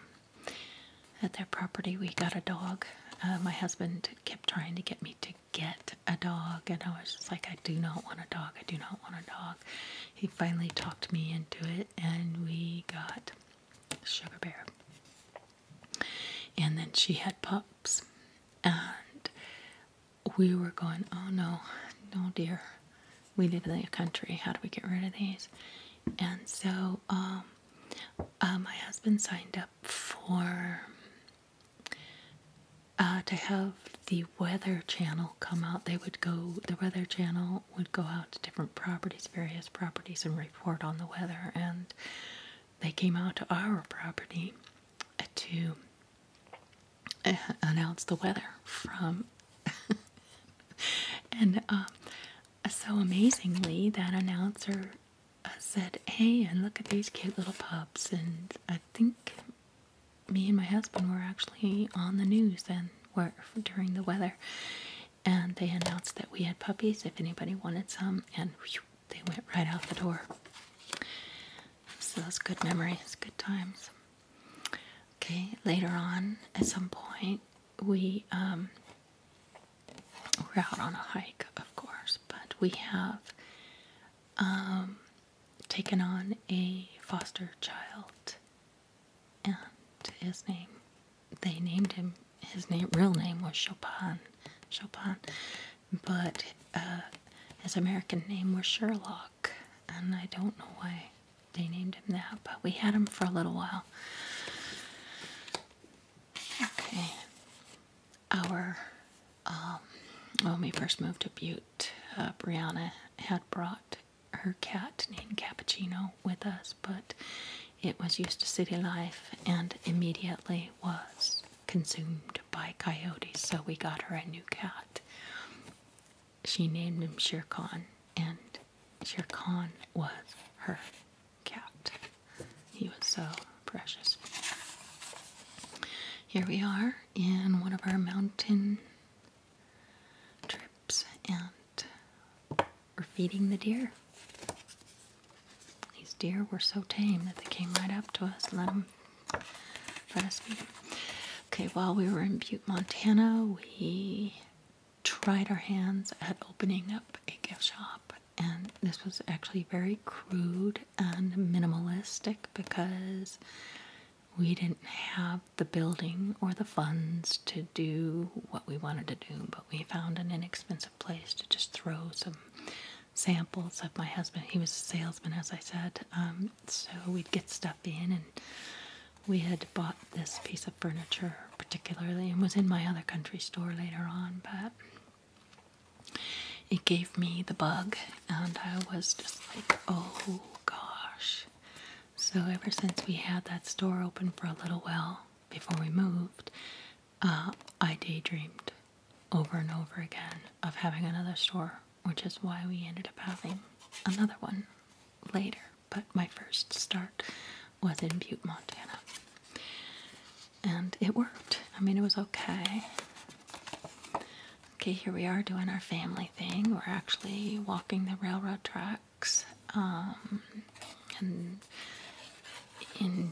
at their property, we got a dog. Uh, my husband kept trying to get me to get a dog, and I was just like, I do not want a dog. I do not want a dog he finally talked me into it, and we got Sugar Bear. And then she had pups, and we were going, Oh no, no, dear, we live in the country. How do we get rid of these? And so, um, uh, my husband signed up for uh, to have the weather channel come out. They would go, the weather channel people would go out to different properties, various properties, and report on the weather. And they came out to our property to eh, announce the weather from. and um, so amazingly, that announcer uh, said, Hey, and look at these cute little pups. And I think me and my husband were actually on the news and were, during the weather and they announced that we had puppies if anybody wanted some, and they went right out the door. So those good memories, good times. Okay, later on, at some point, we um, are out on a hike, of course, but we have um, taken on a foster child and his name they named him his name real name was Chopin Chopin but uh, his American name was Sherlock and I don't know why they named him that but we had him for a little while okay our um, when we first moved to Butte uh, Brianna had brought her cat named Cappuccino with us, but it was used to city life and immediately was consumed by coyotes, so we got her a new cat. She named him Shere and Shere was her cat. He was so precious. Here we are in one of our mountain trips, and we're feeding the deer. These deer were so tame that they came right up to us and let, them, let us feed them. Okay, while we were in Butte, Montana, we tried our hands at opening up a gift shop. And this was actually very crude and minimalistic because we didn't have the building or the funds to do what we wanted to do, but we found an inexpensive place to just throw some samples of my husband. He was a salesman, as I said, um, so we'd get stuff in, and we had bought this piece of furniture particularly, and was in my other country store later on, but it gave me the bug, and I was just like, oh gosh. So ever since we had that store open for a little while before we moved, uh, I daydreamed over and over again of having another store, which is why we ended up having another one later. But my first start was in Butte, Montana. And it worked. I mean, it was okay. Okay, here we are doing our family thing. We're actually walking the railroad track Iraq's um, and in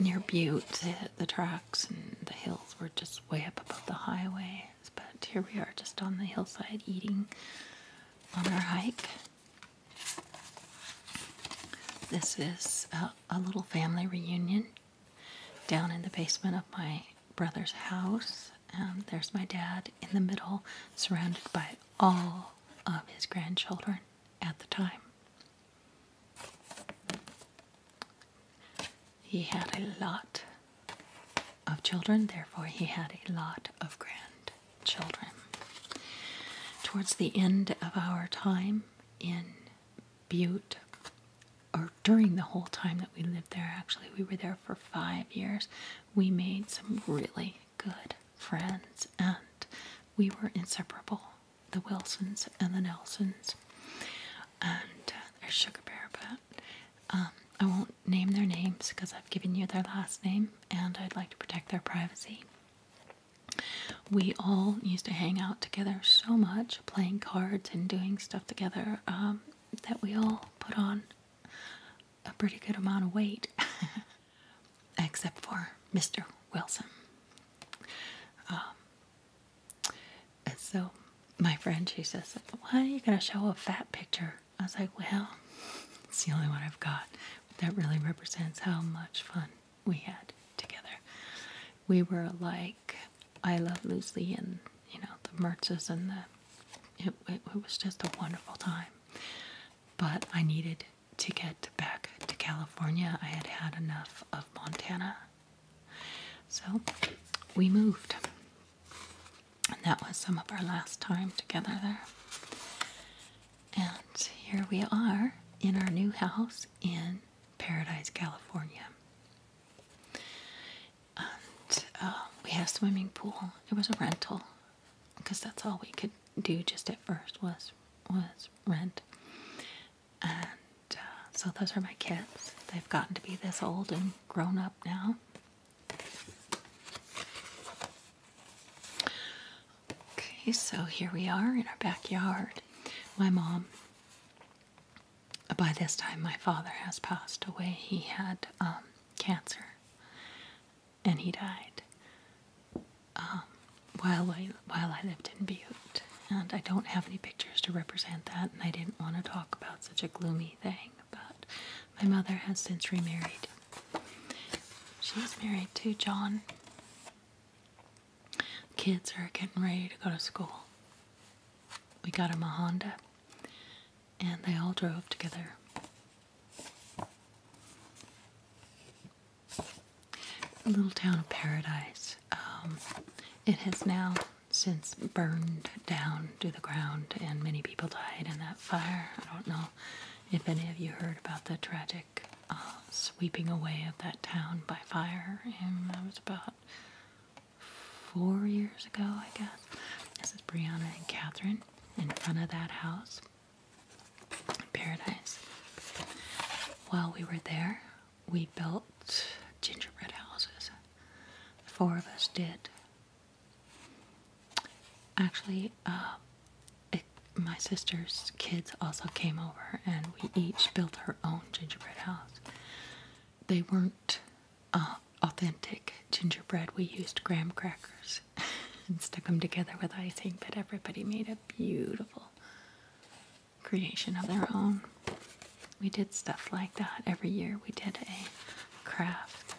near Butte, the, tracks and the hills were just way up above the highways. But here we are, just on the hillside, eating on our hike. This is a, little family reunion down in the basement of my brother's house. And there's my dad in the middle, surrounded by all of his grandchildren at the time. He had a lot of children, therefore, he had a lot of grandchildren. Towards the end of our time in Butte, or during the whole time that we lived there, actually, we were there for five years. We made some really good friends, and we were inseparable the Wilsons and the Nelsons, and uh, there's Sugar Bear, but um, I won't name their names because I've given you their last name and I'd like to protect their privacy. We all used to hang out together so much, playing cards and doing stuff together, um, that we all put on a pretty good amount of weight. except for Mr. Wilson. Um, and so my friend, she says, Why are you going to show a fat picture? I was like, Well, it's the only one I've got. That really represents how much fun we had together. We were like I Love Lucy and, you know, the Mertzes and the. it was just a wonderful time but I needed to get back to California. I had had enough of Montana. So we moved. And that was some of our last time together there. And here we are in our new house in Paradise, California. And uh, we have swimming pool. It was a rental, because that's all we could do just at first was was rent. And uh, so those are my kids. They've gotten to be this old and grown up now. Okay, so here we are in our backyard. My mom, by this time, my father has passed away. He had um, cancer and he died um, while I while I lived in Butte, and I don't have any pictures to represent that, and I didn't want to talk about such a gloomy thing. But my mother has since remarried. She's married to John. Kids are getting ready to go to school. We got a Honda, and they all drove together. A little town of paradise. Um, it has now since burned down to the ground, and many people died in that fire. I don't know if any of you heard about the tragic uh, sweeping away of that town by fire, and that was about four years ago, I guess. This is Brianna and Catherine in front of that house paradise. While we were there, we built gingerbread houses. four of us did. Actually, uh, my sister's kids also came over, and we each built our own gingerbread house. They weren't uh, authentic gingerbread, we used graham crackers and stuck them together with icing, but everybody made a beautiful creation of their own. We did stuff like that every year. We did a craft.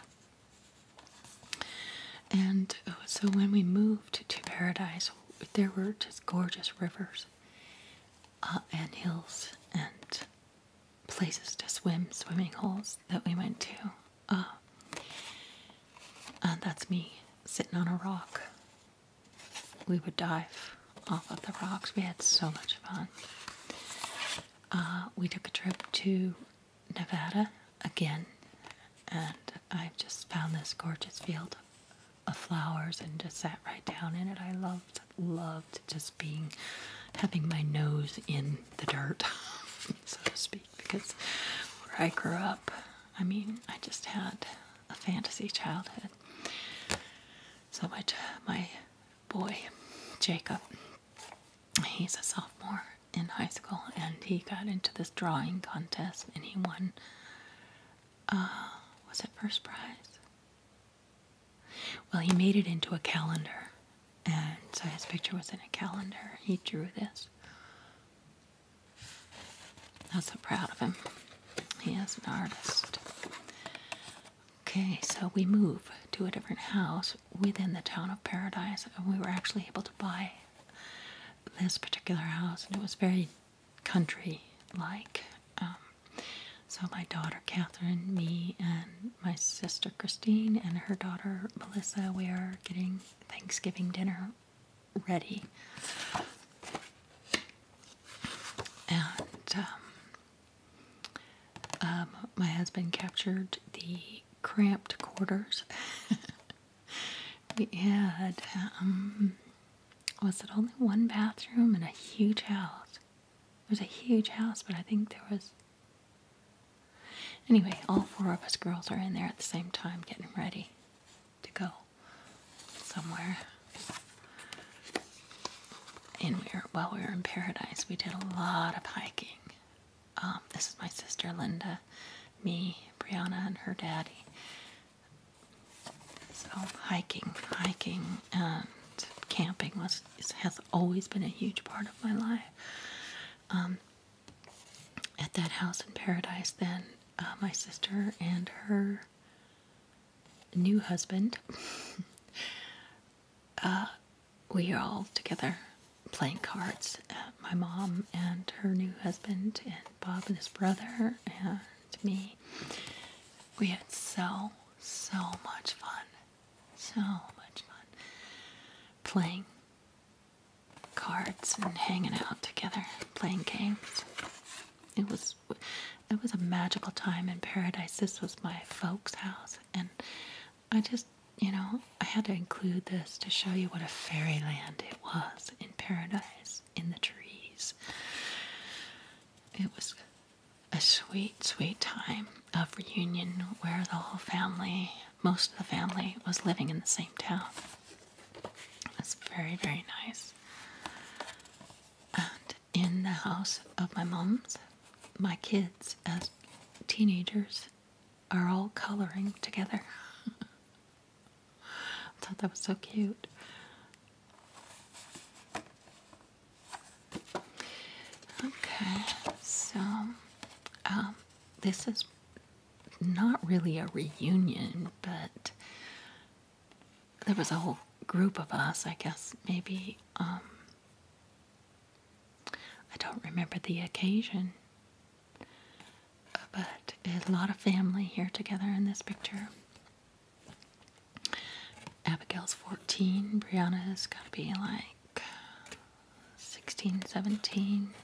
And uh, so when we moved to Paradise, there were just gorgeous rivers uh, and hills and places to swim, swimming holes that we went to. Uh, and uh, that's me sitting on a rock. We would dive off of the rocks. We had so much fun. Uh, we took a trip to Nevada again, and I've just found this gorgeous field of flowers and just sat right down in it. I loved, loved just being, having my nose in the dirt, so to speak because where I grew up, I mean, I just had a fantasy childhood. So my my boy Jacob, he's a sophomore in high school, and he got into this drawing contest, and he won. Uh, was it first prize? Well, he made it into a calendar, and so his picture was in a calendar. He drew this I'm so proud of him. He is an artist. Okay, so we move to a different house within the town of Paradise, and we were actually able to buy this particular house, and it was very country like. Um, so, my daughter Catherine, me, and my sister Christine, and her daughter Melissa, we are getting Thanksgiving dinner ready. And um, um, my husband captured the cramped quarters. we had, um, was it only one bathroom in a huge house? It was a huge house, but I think there was Anyway, all four of us girls are in there at the same time getting ready to go somewhere. And while we were in paradise, we did a lot of hiking. Um, this is my sister Linda, me, Brianna, and her daddy. So hiking, hiking, and camping has always been a huge part of my life. Um, at that house in paradise, then uh, my sister and her new husband, uh, we are all together playing cards. Uh, my mom and her new husband, and Bob and his brother, and me. We had so, so much fun. So much fun playing cards and hanging out together, playing games. It was it was a magical time in paradise. This was my folks' house and I just, you know, I had to include this to show you what a fairyland it was in paradise in the trees. It was a sweet, sweet time of reunion where the whole family most of the family was living in the same town. It's very, very nice. And in the house of my mom's, my kids as teenagers are all coloring together. I thought that was so cute. Okay, so um, this is not really a reunion, but there was a whole group of us, I guess, maybe. Um, I don't remember the occasion, but a lot of family here together in this picture. Abigail's 14, Brianna's got to be like Sixteen, seventeen.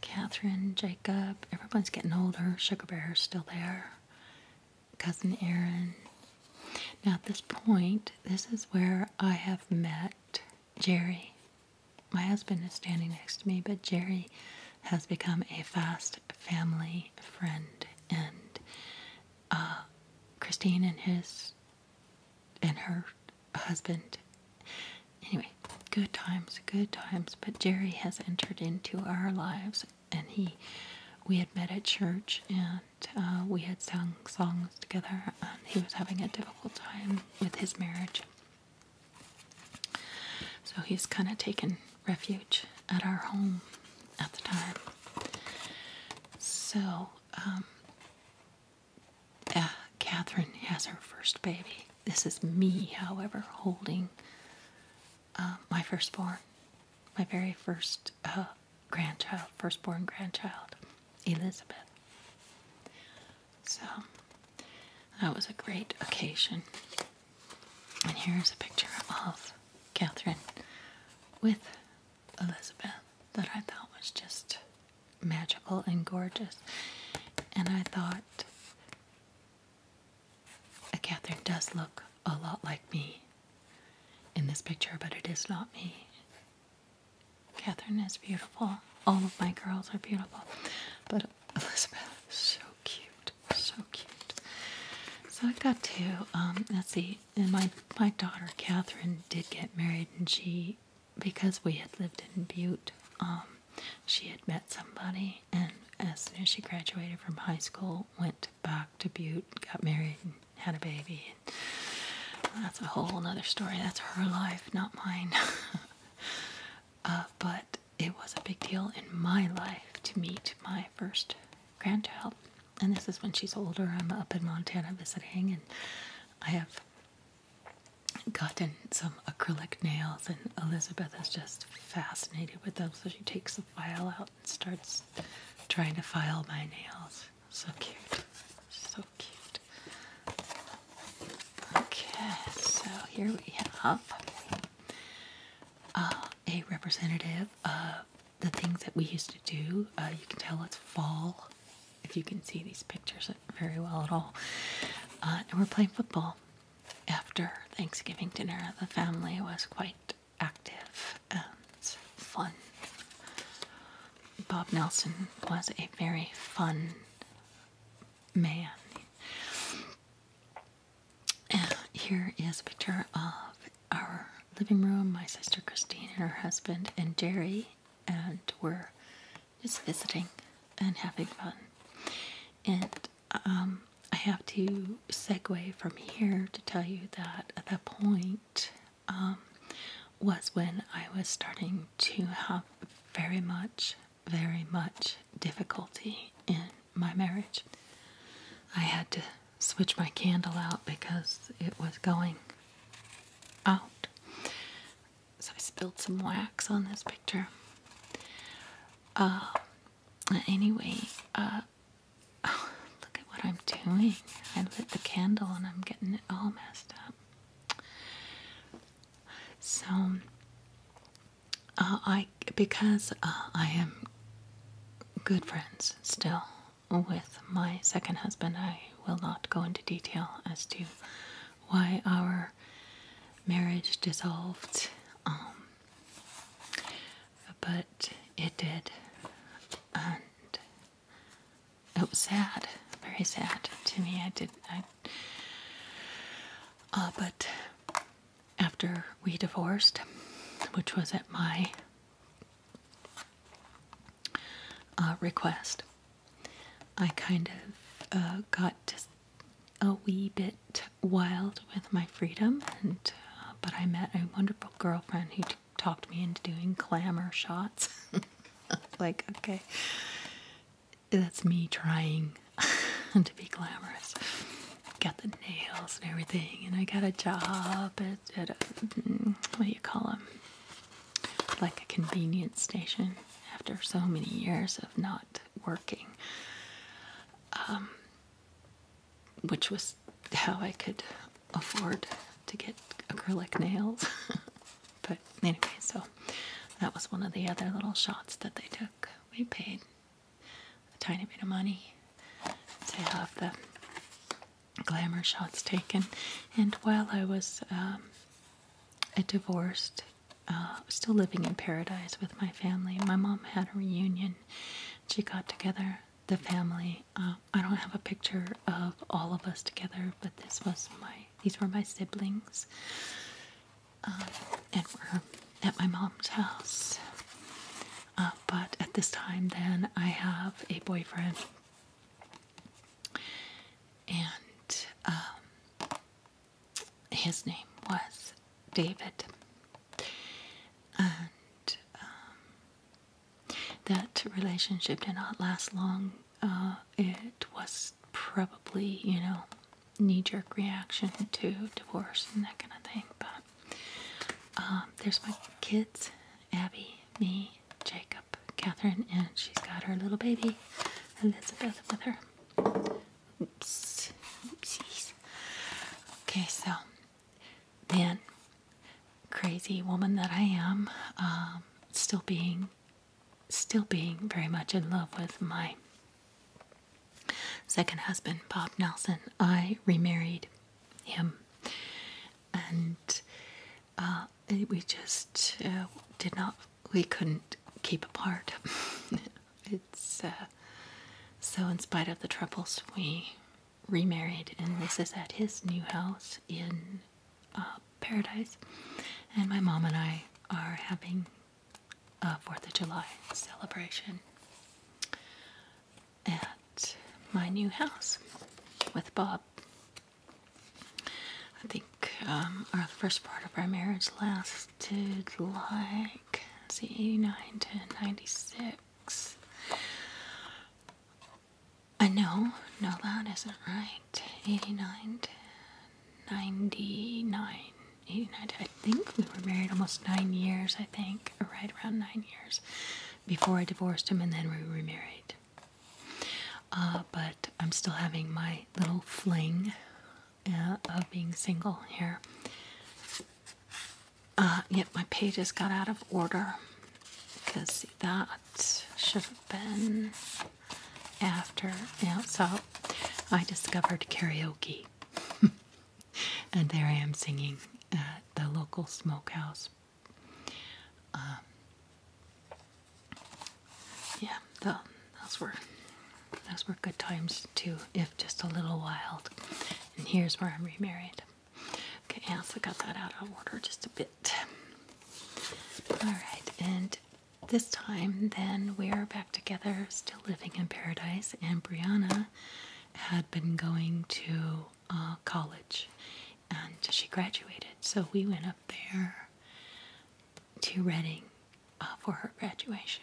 Catherine, Jacob, everyone's getting older. Sugar Bear's still there. Cousin Aaron. Now, at this point, this is where I have met Jerry. My husband is standing next to me, but Jerry has become a fast family friend. And uh, Christine and his and her husband. Anyway, good times, good times. But Jerry has entered into our lives, and he, we had met at church, and uh, we had sung songs together. And he was having a difficult time with his marriage, so he's kind of taken refuge at our home at the time. So um, uh, Catherine has her first baby. This is me, however, holding uh, my firstborn, my very first uh, grandchild, firstborn grandchild, Elizabeth. So that was a great occasion. And here's a picture of Catherine with Elizabeth that I thought was just magical and gorgeous. And I thought, Catherine does look a lot like me in this picture, but it is not me. Catherine is beautiful. All of my girls are beautiful. But Elizabeth is so cute. So cute. So I got two. Um, let's see. And my, my daughter, Catherine, did get married, and she because we had lived in Butte, um, she had met somebody, and as soon as she graduated from high school, went back to Butte, got married, and had a baby. that's a whole other story. That's her life, not mine. Uh, but it was a big deal in my life to meet my first grandchild. And this is when she's older. I'm up in Montana visiting, and I have gotten some acrylic nails, and Elizabeth is just fascinated with them. So she takes a file out and starts trying to file my nails. So cute. So cute. Okay, so here we have uh, a representative of the things that we used to do. Uh, you can tell it's fall if you can see these pictures very well at all. Uh, and we're playing football after Thanksgiving dinner, the family was quite active and fun. Bob Nelson was a very fun man. here is a picture of our living room, my sister Christine and her husband and Jerry, and we're just visiting and having fun. And um, I have to segue from here to tell you that the point um, was when I was starting to have very much, very much difficulty in my marriage. I had to switch my candle out because it was going out. So I spilled some wax on this picture. Um, anyway, uh, look at what I'm doing. I lit the candle and I'm getting it all messed up. So, uh, I because uh, I am good friends still with my second husband, I will not go into detail as to why our marriage dissolved. Um, but it did. And it was sad, very sad to me. I did, uh, but after we divorced, which was at my uh, request, I kind of uh, got to a wee bit wild with my freedom, uh, but I met a wonderful girlfriend who talked me into doing glamour shots. like, okay, that's me trying to be glamorous. Got the nails and everything, and I got a job at, mm, what do you call them? Like a convenience station after so many years of not working. Um, which was how I could afford to get acrylic nails. but anyway, so that was one of the other little shots that they took. We paid a tiny bit of money to have the glamour shots taken, and while I was um, a divorced uh, still living in paradise with my family. My mom had a reunion. She got together the family. Uh, I don't have a picture of all of us together, but this was my these were my siblings, um, and we're at my mom's house. Uh, but at this time, then I have a boyfriend, and um, his name was David. And um, that relationship did not last long. Uh, it was probably, you know, knee jerk reaction to divorce and that kind of thing. But um, there's my kids Abby, me, Jacob, Catherine, and she's got her little baby Elizabeth with her. Oops. Oopsies. Okay, so then, crazy woman that I am, um, still being, still being very much in love with my second husband, Bob Nelson. I remarried him, and uh, we just uh, did not we couldn't keep apart. it's uh, so, in spite of the troubles, we remarried, and this is at his new house in uh, Paradise. And my mom and I are having a Fourth of July celebration at my new house with Bob. I think um, our first part of our marriage lasts did like, see, 89 to 96. I know, no, that isn't right. 89 to 99. 89 I think we were married almost nine years, I think, right around nine years before I divorced him and then we remarried. Uh, but I'm still having my little fling of being single here. Uh, yep, yet my pages got out of order because that should have been after. Yeah, so I discovered karaoke, and there I am singing at the local smokehouse. Um, yeah, the those were those were good times too, if just a little wild. And here's where I'm remarried. Okay, I forgot that out of order just a bit. Alright, and this time then we're back together, still living in paradise, and Brianna had been going to uh, college and she graduated. So we went up there to Reading uh, for her graduation.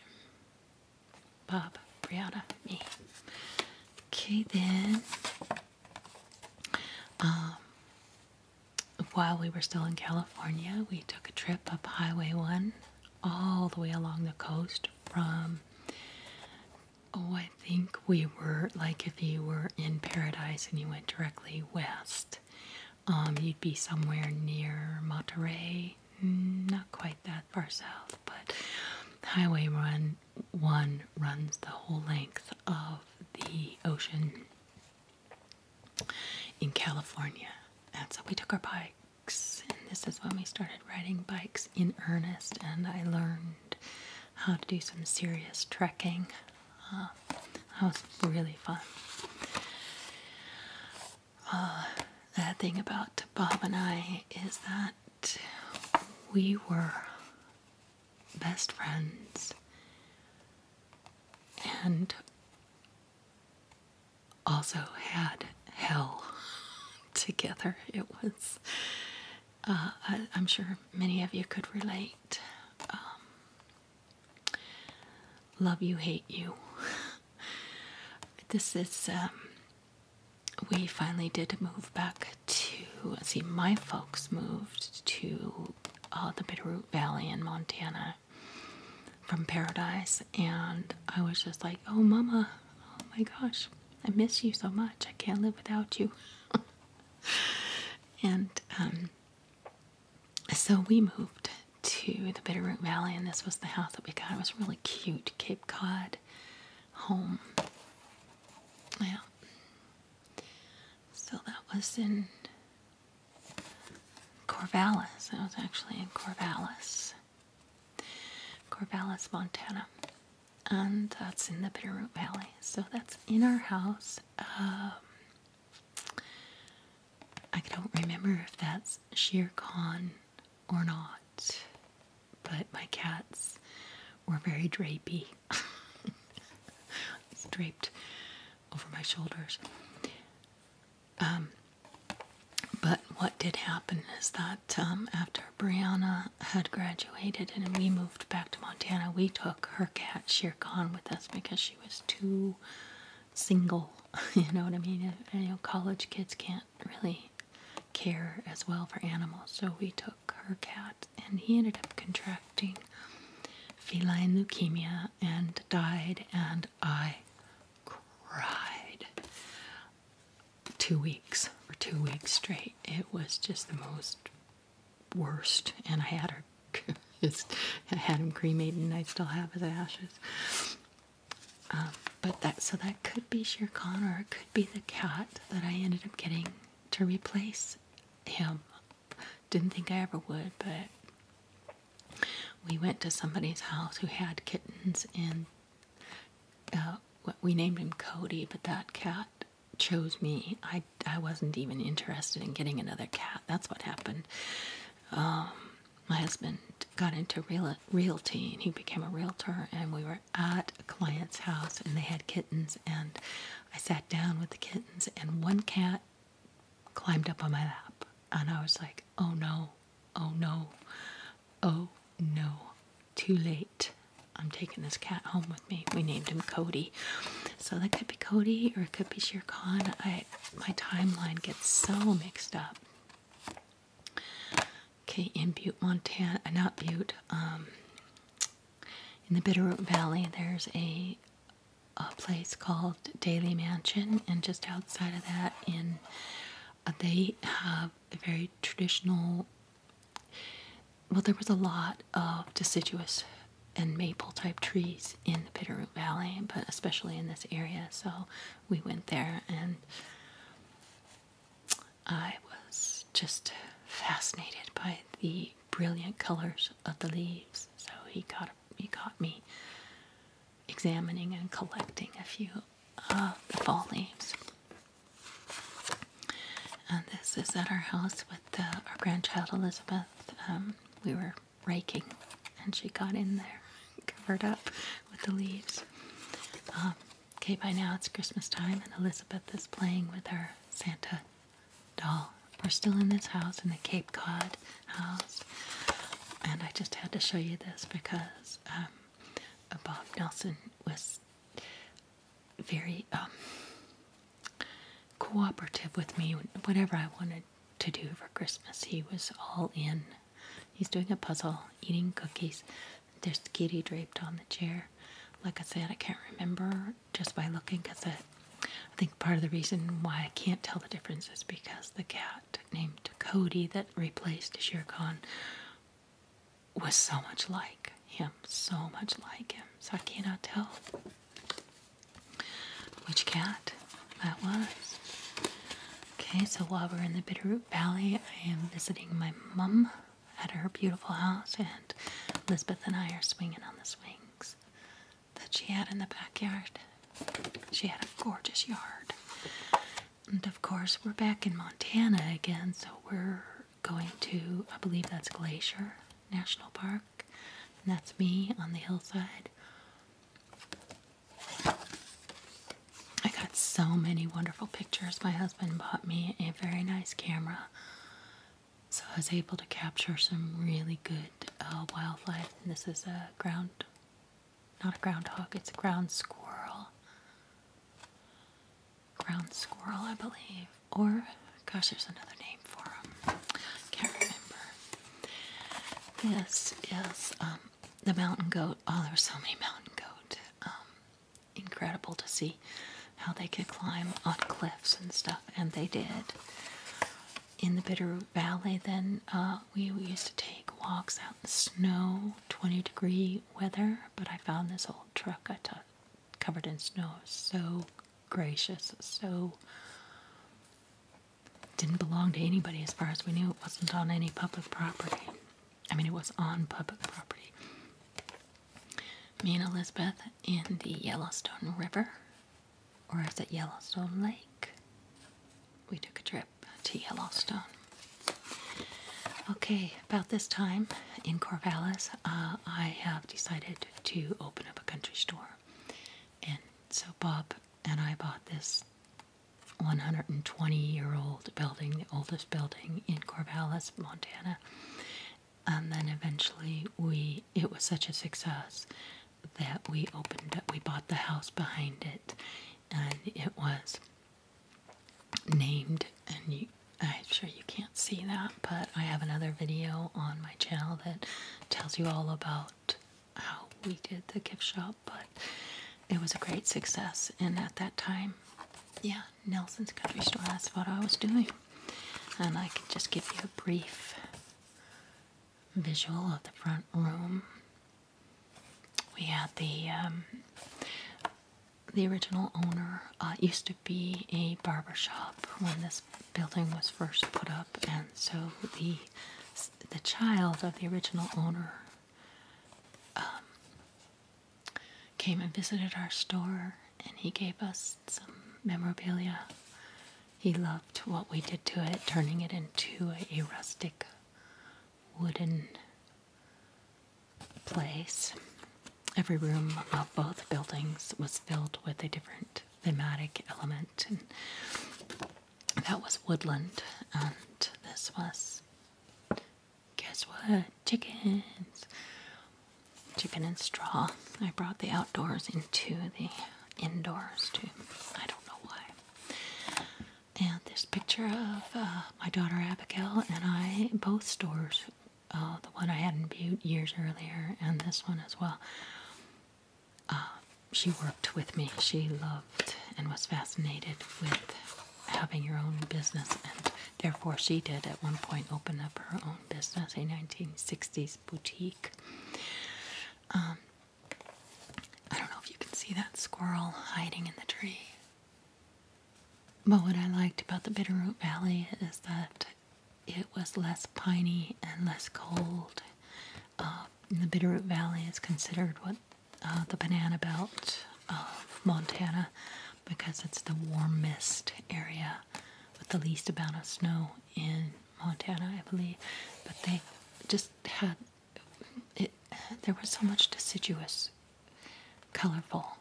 Bob, Brianna, me. Okay, then. Um, while we were still in California, we took a trip up Highway 1 all the way along the coast from, oh, I think we were like if you were in Paradise and you went directly west, um, you'd be somewhere near Monterey Mm, not quite that far south, but Highway Run 1 runs the whole length of the ocean in California. And so we took our bikes, and this is when we started riding bikes in earnest, and I learned how to do some serious trekking. Uh, that was really fun uh, the thing about Bob and I is that we were best friends and also had hell together. It was, uh, I, am sure many of you could relate. Um, love you, hate you. this is um, we finally did move back to see my folks moved to uh, the Bitterroot Valley in Montana from Paradise and I was just like oh mama oh my gosh I miss you so much I can't live without you and um, so we moved to the Bitterroot Valley, and this was the house that we got. It was really cute, Cape Cod home. Yeah. So that was in Corvallis. That was actually in Corvallis, Corvallis, Montana. And that's in the Bitterroot Valley. So that's in our house. Um, I don't remember if that's Shere Khan or not, but my cats were very drapey. draped over my shoulders. Um, but what did happen is that um, after Brianna had graduated and we moved back to Montana, we took her cat Shere Khan with us because she was too single. you know what I mean? You know, college kids can't really care as well for animals. So we took her cat, and he ended up contracting feline leukemia and died. And I cried two weeks or two weeks straight. It was just the most worst, and I had her. I had him cremated, and I still have his ashes. Um, but that so that could be Shere Khan or it could be the cat that I ended up getting to replace him. Didn't think I ever would, but we went to somebody's house who had kittens, and uh, we named him Cody. But that cat chose me. I I wasn't even interested in getting another cat. That's what happened. Um, my husband got into realty and he became a realtor and we were at a client's house and they had kittens and I sat down with the kittens and one cat climbed up on my lap and I was like, oh no, oh no, oh no, too late. I'm taking this cat home with me. We named him Cody. So that could be Cody or it could be Shere Khan. I my timeline gets so mixed up. Okay, in Butte, Montana, uh, not Butte, um, in the Bitterroot Valley, there's a, a place called Daily Mansion, and just outside of that, in uh, they have a very traditional. Well, there was a lot of deciduous and maple type trees in the Bitterroot Valley, but especially in this area, so we went there and I was just fascinated by the brilliant colors of the leaves. So he got he caught me examining and collecting a few of the fall leaves. And this is at our house with uh, our grandchild Elizabeth. Um, we were raking and she got in there, covered up with the leaves. Um, okay, by now it's Christmas time, and Elizabeth is playing with her Santa doll. We're still in this house, in the Cape Cod house, and I just had to show you this because um, Bob Nelson was very um, cooperative with me. Whatever I wanted to do for Christmas, he was all in He's doing a puzzle, eating cookies. There's Kitty draped on the chair. Like I said, I can't remember just by looking because I, I think part of the reason why I can't tell the difference is because the cat named Cody that replaced Shere Khan was so much like him, so much like him. So I cannot tell which cat that was. Okay, so while we're in the bitter Valley, I am visiting my mom at her beautiful house, and Elizabeth and I are swinging on the swings that she had in the backyard. She had a gorgeous yard. And of course, we're back in Montana again, so we're going to, I believe that's Glacier National Park, and that's me on the hillside. I got so many wonderful pictures. My husband bought me a very nice camera, so I was able to capture some really good uh, wildlife. And this is a ground, not a groundhog, it's a ground squirrel. Ground squirrel, I believe. Or, gosh, there's another name for him. Can't remember. This is um, the mountain goat. Oh, there's so many mountain goat. Um, incredible to see how they could climb on cliffs and stuff, and they did. In the Bitterroot Valley, then uh, we, used to take walks out in snow, 20 degree weather. But I found this old truck I took covered in snow, so gracious, so didn't belong to anybody as far as we knew. It wasn't on any public property. I mean, it was on public property. Me and Elizabeth in the Yellowstone River, or is it Yellowstone Lake? We took a trip to Yellowstone. Okay, about this time in Corvallis, uh, I have decided to open up a country store. And so Bob and I bought this 120 year old building, the oldest building in Corvallis, Montana. And then eventually we it was such a success that we opened up we bought the house behind it and it was named and you, I'm sure you can't see that but I have another video on my channel that tells you all about how we did the gift shop but it was a great success. And at that time, yeah, Nelson's Country Store, that's what I was doing. And I can just give you a brief visual of the front room. We had the um, the original owner uh, used to be a barber shop when this building was first put up, and so the the child of the original owner um, came and visited our store and he gave us some memorabilia. He loved what we did to it, turning it into a rustic wooden place. Every room of both buildings was filled with a different thematic element, and that was woodland, and this was Guess what? Chickens. Chicken and straw. I brought the outdoors into the indoors too. I don't know why. And this picture of uh, my daughter Abigail and I, both stores, uh, the one I had in Butte years earlier and this one as well. Uh, she worked with me. She loved and was fascinated with having your own business, and therefore she did at one point open up her own business, a 1960s boutique. Um, I don't know if you can see that squirrel hiding in the tree. But what I liked about the Bitterroot Valley is that it was less piney and less cold. Uh, the Bitterroot Valley is considered what uh, the banana belt of Montana because it's the warmest area with the least amount of snow in Montana, I believe. But they just had it, there was so much deciduous, colorful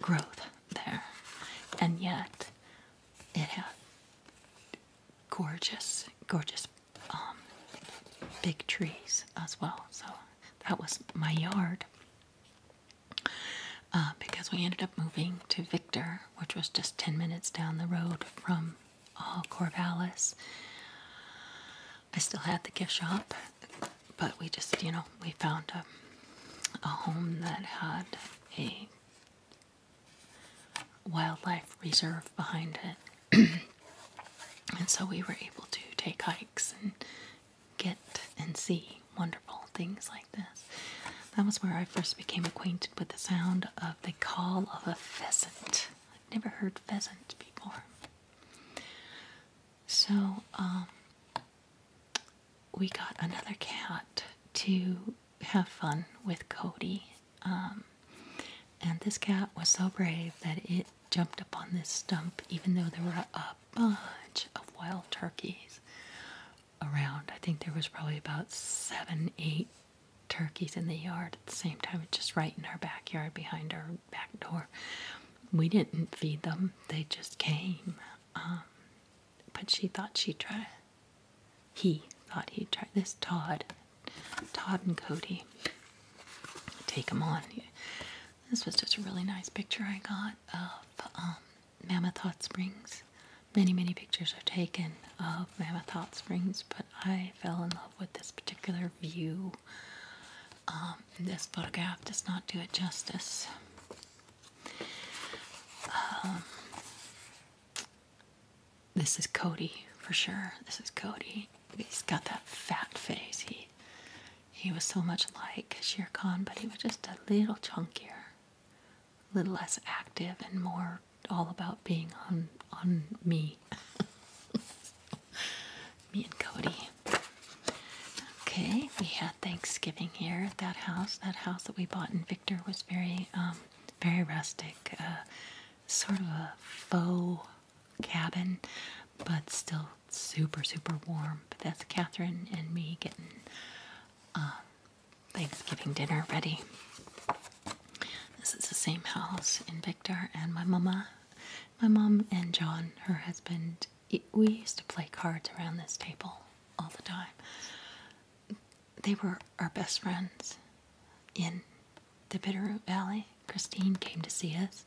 growth there, and yet it had gorgeous, gorgeous um, big trees as well. So that was my yard. Uh, because we ended up moving to Victor, which was just 10 minutes down the road from uh, Corvallis. I still had the gift shop, but we just, you know, we found a home that had a wildlife reserve behind it. and so we were able to take hikes and get and see wonderful things like this. That was where I first became acquainted with the sound of the call of a pheasant. I'd never heard pheasant before. So um, we got another cat to have fun with Cody um, and this cat was so brave that it jumped up on this stump, even though there were a bunch of wild turkeys around. I think there was probably about seven, eight turkeys in the yard at the same time. just right in our backyard behind our back door. We didn't feed them, they just came. Um, but she thought she'd try. He thought he'd try. This Todd Todd and Cody take them on. This was just a really nice picture I got of um, Mammoth Hot Springs. Many, many pictures are taken of Mammoth Hot Springs, but I fell in love with this particular view. Um, this photograph does not do it justice. Um, this is Cody for sure. This is Cody. He's got that fat face. He he was so much like Shere Khan, but he was just a little chunkier, a little less active, and more all about being on on me. me and Cody. Okay, we had Thanksgiving here at that house. That house that we bought in Victor was very um, very rustic, uh, sort of a faux cabin, but still super, super warm. But that's Catherine and me getting um, Thanksgiving dinner ready. This is the same house in Victor, and my mama, my mom, and John, her husband. we used to play cards around this table all the time. They were our best friends in the Bitterroot Valley. Christine came to see us.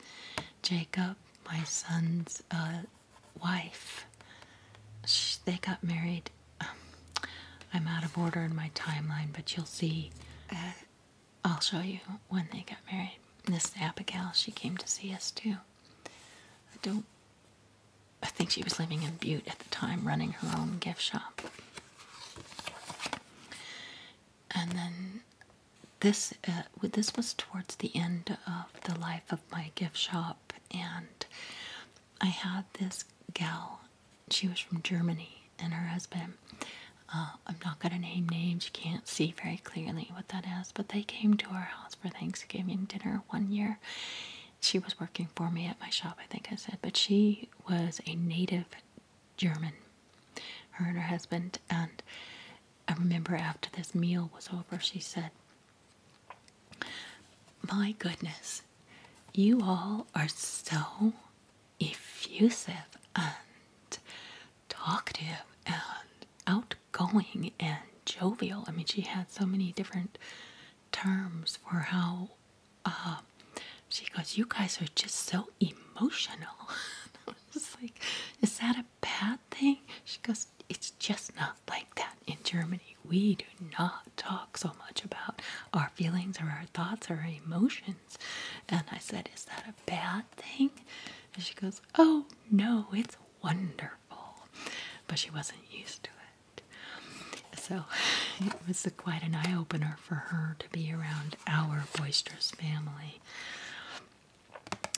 Jacob, my son's uh, wife, they got married. I'm out of order in my timeline, but you'll see. Uh, I'll show you when they got married. Miss Abigail, she came to see us too. don't. I think she was living in Butte at the time, running her own gift shop and then this uh, this was towards the end of the life of my gift shop, and I had this gal. She was from Germany, and her husband. Uh, I'm not gonna name names. You can't see very clearly what that is, but they came to our house for Thanksgiving dinner one year. She was working for me at my shop, I think I said, but she was a native German, her and her husband. And I remember after this meal was over, she said, My goodness, you all are so effusive and talkative and outgoing and jovial. I mean, she had so many different terms for how. Uh, she goes, You guys are just so emotional. I was like, Is that a bad thing? She goes, It's just not like that in Germany. We do not talk so much about our feelings or our thoughts or our emotions. And I said, Is that a bad thing? And she goes, Oh no, it's wonderful. But she wasn't used to it. So it was quite an eye opener for her to be around our boisterous family.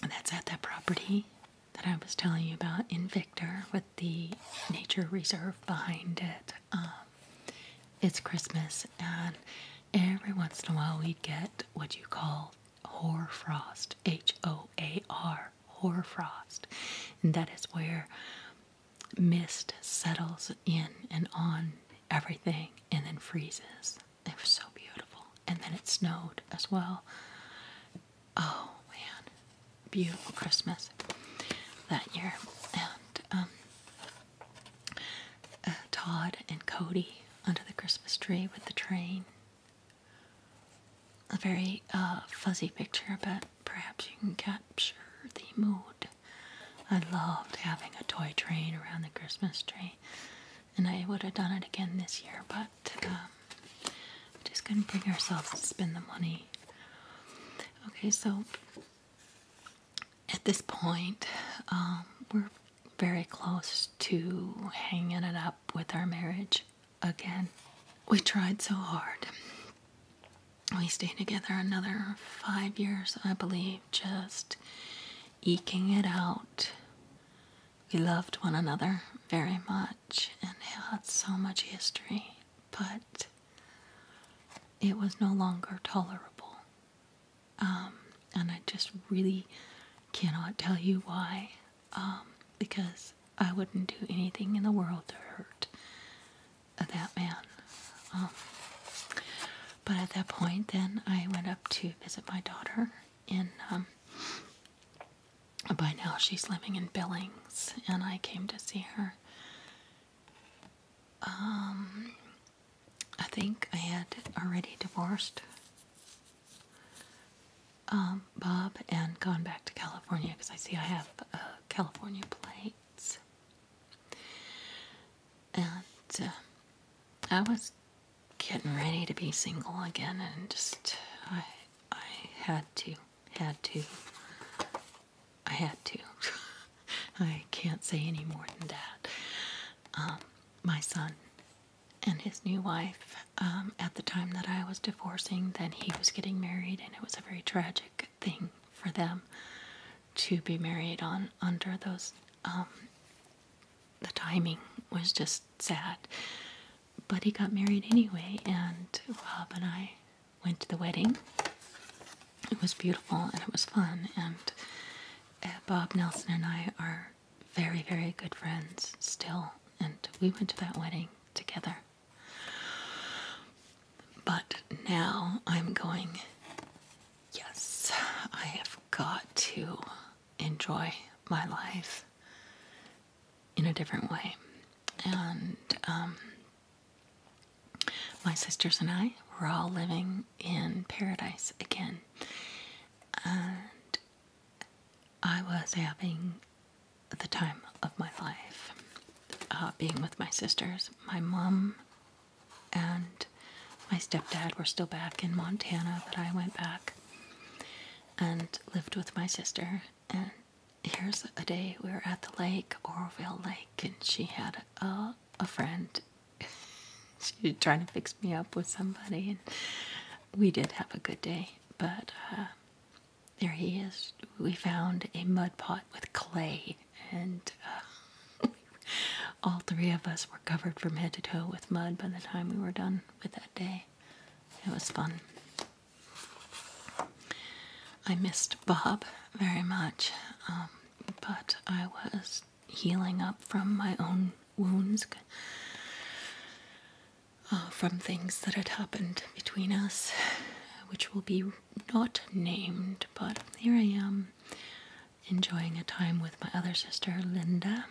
And that's at that property that I was telling you about in Victor with the nature reserve behind it. Um, it's Christmas, and every once in a while we'd get what you call hoarfrost, H O A R, hoarfrost. And that is where mist settles in and on everything and then freezes. It was so beautiful. And then it snowed as well. Oh man, beautiful Christmas that year. And um, uh, Todd and Cody under the Christmas tree with the train. A very uh, fuzzy picture, but perhaps you can capture the mood I loved having a toy train around the Christmas tree, and I would have done it again this year, but um, just couldn't bring ourselves to spend the money. Okay, so at this point, um, we're very close to hanging it up with our marriage again. We tried so hard. We stayed together another five years, I believe, just eking it out. We loved one another very much and had so much history, but it was no longer tolerable. Um, and I just really cannot tell you why, um, because I wouldn't do anything in the world to hurt that man. Um, but at that point, then I went up to visit my daughter And um, by now, she's living in Billings, and I came to see her. Um, I think I had already divorced Bob and gone back to California because I see I have uh, California plates. And uh, I was getting ready to be single again, and just I I had to had to I had to. I can't say any more than that. Um, my son and his new wife, um, at the time that I was divorcing, then he was getting married, and it was a very tragic thing for them to be married on under those um, the timing was just sad. But he got married anyway, and Bob and I went to the wedding. It was beautiful and it was fun, and uh, Bob Nelson and I are very, very good friends still, and we went to that wedding together. But now I'm going Yes, I have got to enjoy my life in a different way. And um, my sisters and I, were all living in paradise again. And I was having the time of my life uh, being with my sisters. My mom and my stepdad were still back in Montana, but I went back and lived with my sister. And here's a day we were at the lake, Oroville Lake, and she had a, a friend. she was trying to fix me up with somebody, and we did have a good day. But uh, there he is. We found a mud pot with clay, and uh, all three of us were covered from head to toe with mud by the time we were done with that day. It was fun. I missed Bob very much, um, but I was healing up from my own wounds, uh, from things that had happened between us, which will be not named, but here I am enjoying a time with my other sister, Linda.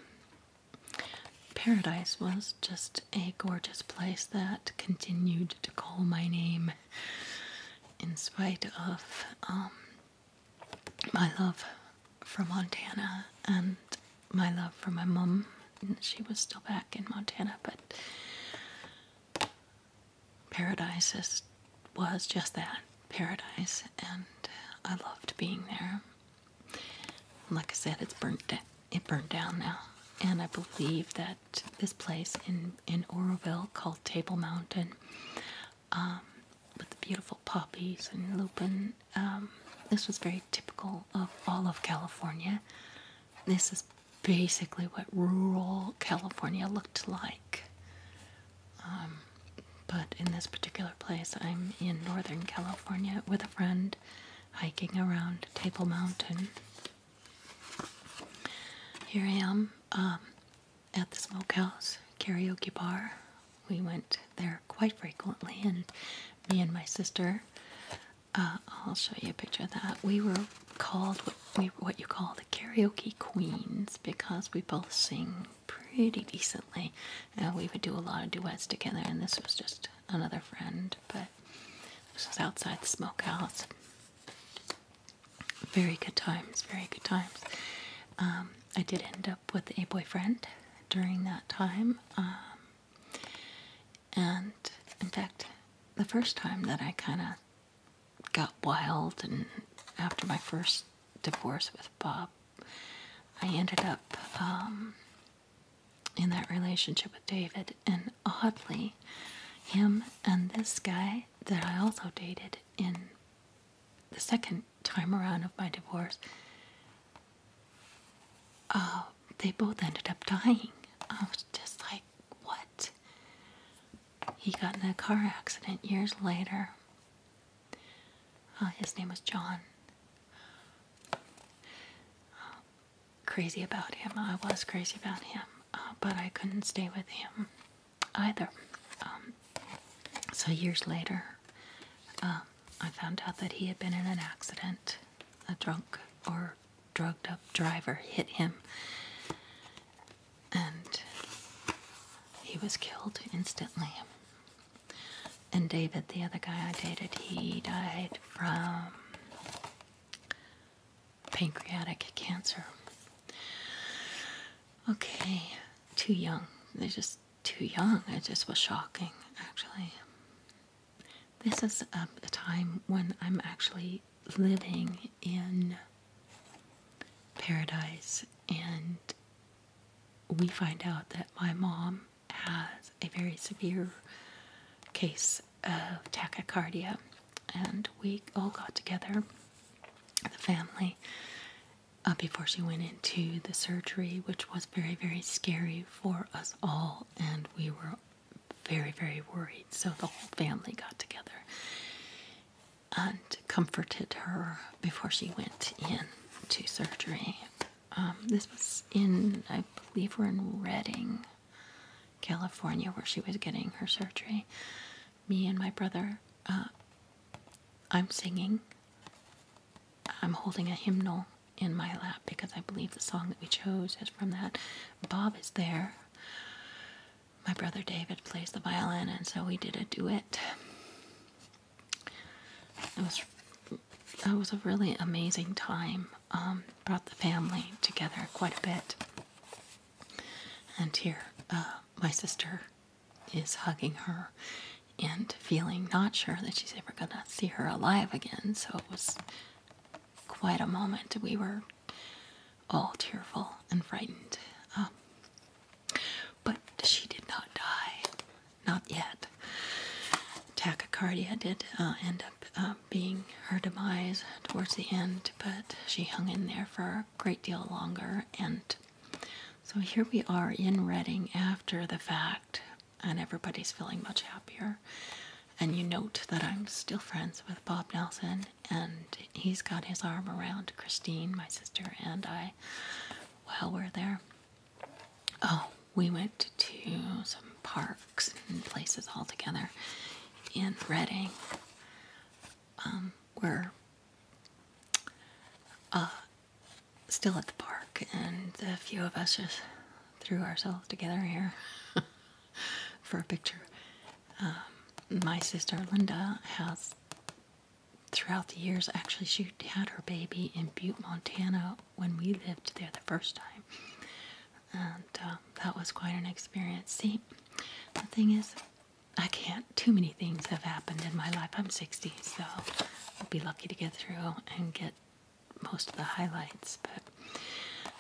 Paradise was just a gorgeous place that continued to call my name in spite of um, my love for Montana and my love for my mom. She was still back in Montana, but paradise is was just that paradise, and uh, I loved being there. Like I said, it's burnt down. It burned down now, and I believe that this place in in Oroville called Table Mountain, um, with the beautiful poppies and lupin, um, this was very typical of all of California. This is basically what rural California looked like um, but in this particular place, I'm in Northern California with a friend hiking around Table Mountain. Here I am um, at the Smokehouse Karaoke Bar. We went there quite frequently, and me and my sister. Uh, I'll show you a picture of that. We were called what you call the karaoke queens because we both sing pretty decently. Uh, we would do a lot of duets together, and this was just another friend. But this was outside the smokehouse. Very good times, very good times. Um, I did end up with a boyfriend during that time. Um, and in fact, the first time that I kind of got wild and after my first divorce with Bob, I ended up um, in that relationship with David, and oddly, him and this guy that I also dated in the second time around of my divorce, uh, they both ended up dying. I was just like, what? He got in a car accident years later, Oh, his name was John. Uh, crazy about him. I was crazy about him, uh, but I couldn't stay with him either. Um, so years later, um, I found out that he had been in an accident. A drunk or drugged up driver hit him, and he was killed instantly. And David, the other guy I dated, he died from pancreatic cancer. Okay, too young. They're just too young. It just was shocking, actually. This is um, a, time when I'm actually living in paradise and we find out that my mom has a very severe case of tachycardia, and we all got together, the family, uh, before she went into the surgery, which was very, very scary for us all, and we were very, very worried. So the whole family got together and comforted her before she went in to surgery. Um, this was in, I believe, we're in Redding, California, where she was getting her surgery. Me and my brother, uh, I'm singing. I'm holding a hymnal in my lap because I believe the song that we chose is from that. Bob is there. My brother David plays the violin, and so we did a duet. It was it was a really amazing time. Um, brought the family together quite a bit. And here, uh, my sister is hugging her and feeling not sure that she's ever going to see her alive again. So it was quite a moment. We were all tearful and frightened. Um, but she did not die, not yet. Tachycardia did uh, end up uh, being her demise towards the end, but she hung in there for a great deal longer. And so here we are in Reading after the fact, and everybody's feeling much happier. And you note that I'm still friends with Bob Nelson, and he's got his arm around Christine, my sister, and I while we're there. Oh, we went to some parks and places all together in Reading, um, where uh, still at the park, and a few of us just threw ourselves together here for a picture. Um, my sister Linda has throughout the years, actually, she had her baby in Butte, Montana when we lived there the first time. And um, that was quite an experience. See, the thing is, I can't, too many things have happened in my life. I'm 60, so I'll be lucky to get through and get most of the highlights. But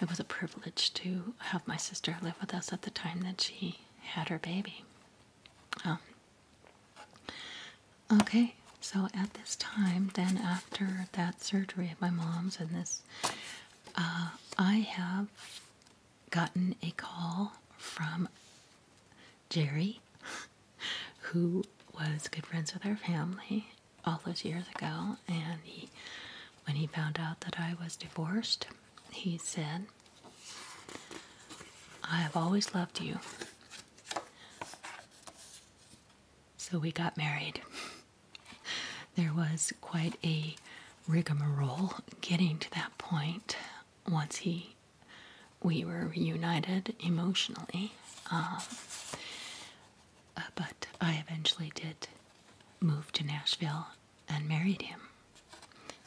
it was a privilege to have my sister live with us at the time that she had her baby. Um, Okay, so at this time, then after that surgery of my mom's and this, uh, I have gotten a call from Jerry, who was good friends with our family all those years ago, and he, when he found out that I was divorced, he said, I have always loved you. So we got married. there was quite a rigmarole getting to that point once he we were reunited emotionally. Um, uh, but I eventually did move to Nashville and married him.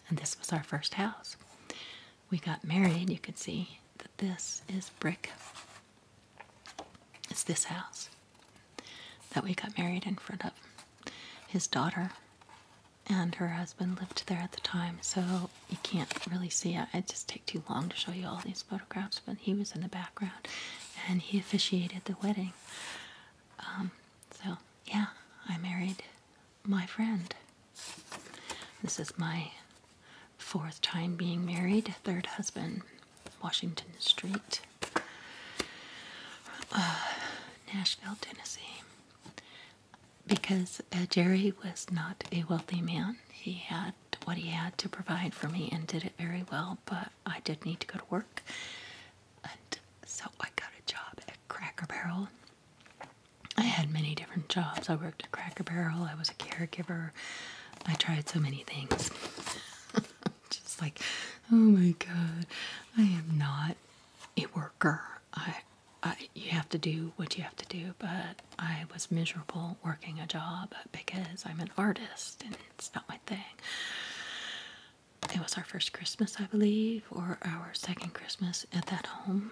And this was our first house we got married, you can see that this is brick. It's this house that we got married in front of. His daughter and her husband lived there at the time, so you can't really see it. it just take too long to show you all these photographs, but he was in the background and he officiated the wedding. Um, so, yeah, I married my friend. This is my fourth time being married, third husband, Washington Street, uh, Nashville, Tennessee. Because uh, Jerry was not a wealthy man, he had what he had to provide for me and did it very well, but I did need to go to work. And so I got a job at Cracker Barrel I had many different jobs. I worked at Cracker Barrel, I was a caregiver. I tried so many things. Just like, oh my god, I am not a worker. I, I you have to do what you have to do, but I was miserable working a job because I'm an artist and it's not my thing. It was our first Christmas, I believe, or our second Christmas at that home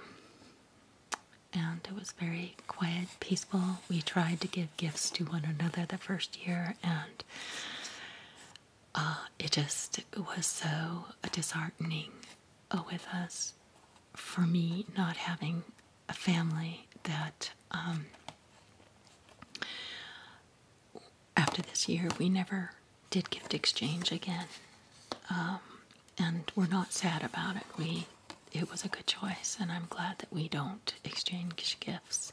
and it was very quiet, peaceful. We tried to give gifts to one another the first year, and uh, it just was so disheartening uh, with us for me not having a family that um, after this year we never did gift exchange again. Um, and we're not sad about it. We it was a good choice and I'm glad that we don't exchange gifts.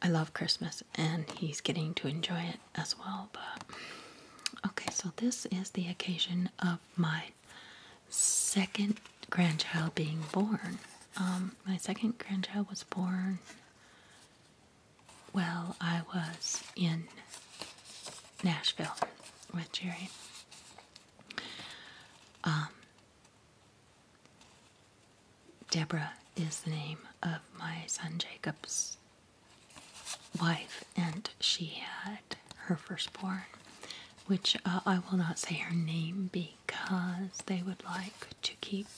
I love Christmas and he's getting to enjoy it as well, but okay, so this is the occasion of my second grandchild being born. Um, my second grandchild was born well, I was in Nashville with Jerry. Um, Deborah is the name of my son Jacob's wife, and she had her firstborn, which uh, I will not say her name because they would like to keep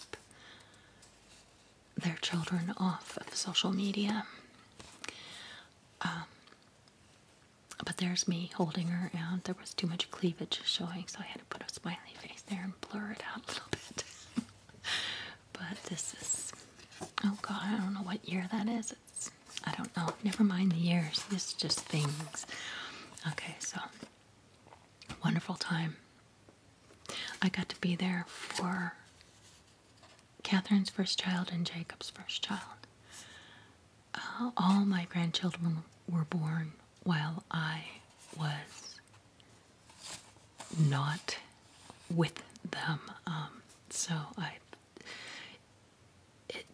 their children off of social media. Um, but there's me holding her, and there was too much cleavage showing, so I had to put a smiley face there and blur it out a little bit. but this is, oh god, I don't know what year that is. It's, I don't know. Never mind the years. It's just things. Okay, so wonderful time. I got to be there for Catherine's first child and Jacob's first child. Uh, all my grandchildren were born while I was not with them. Um, so I,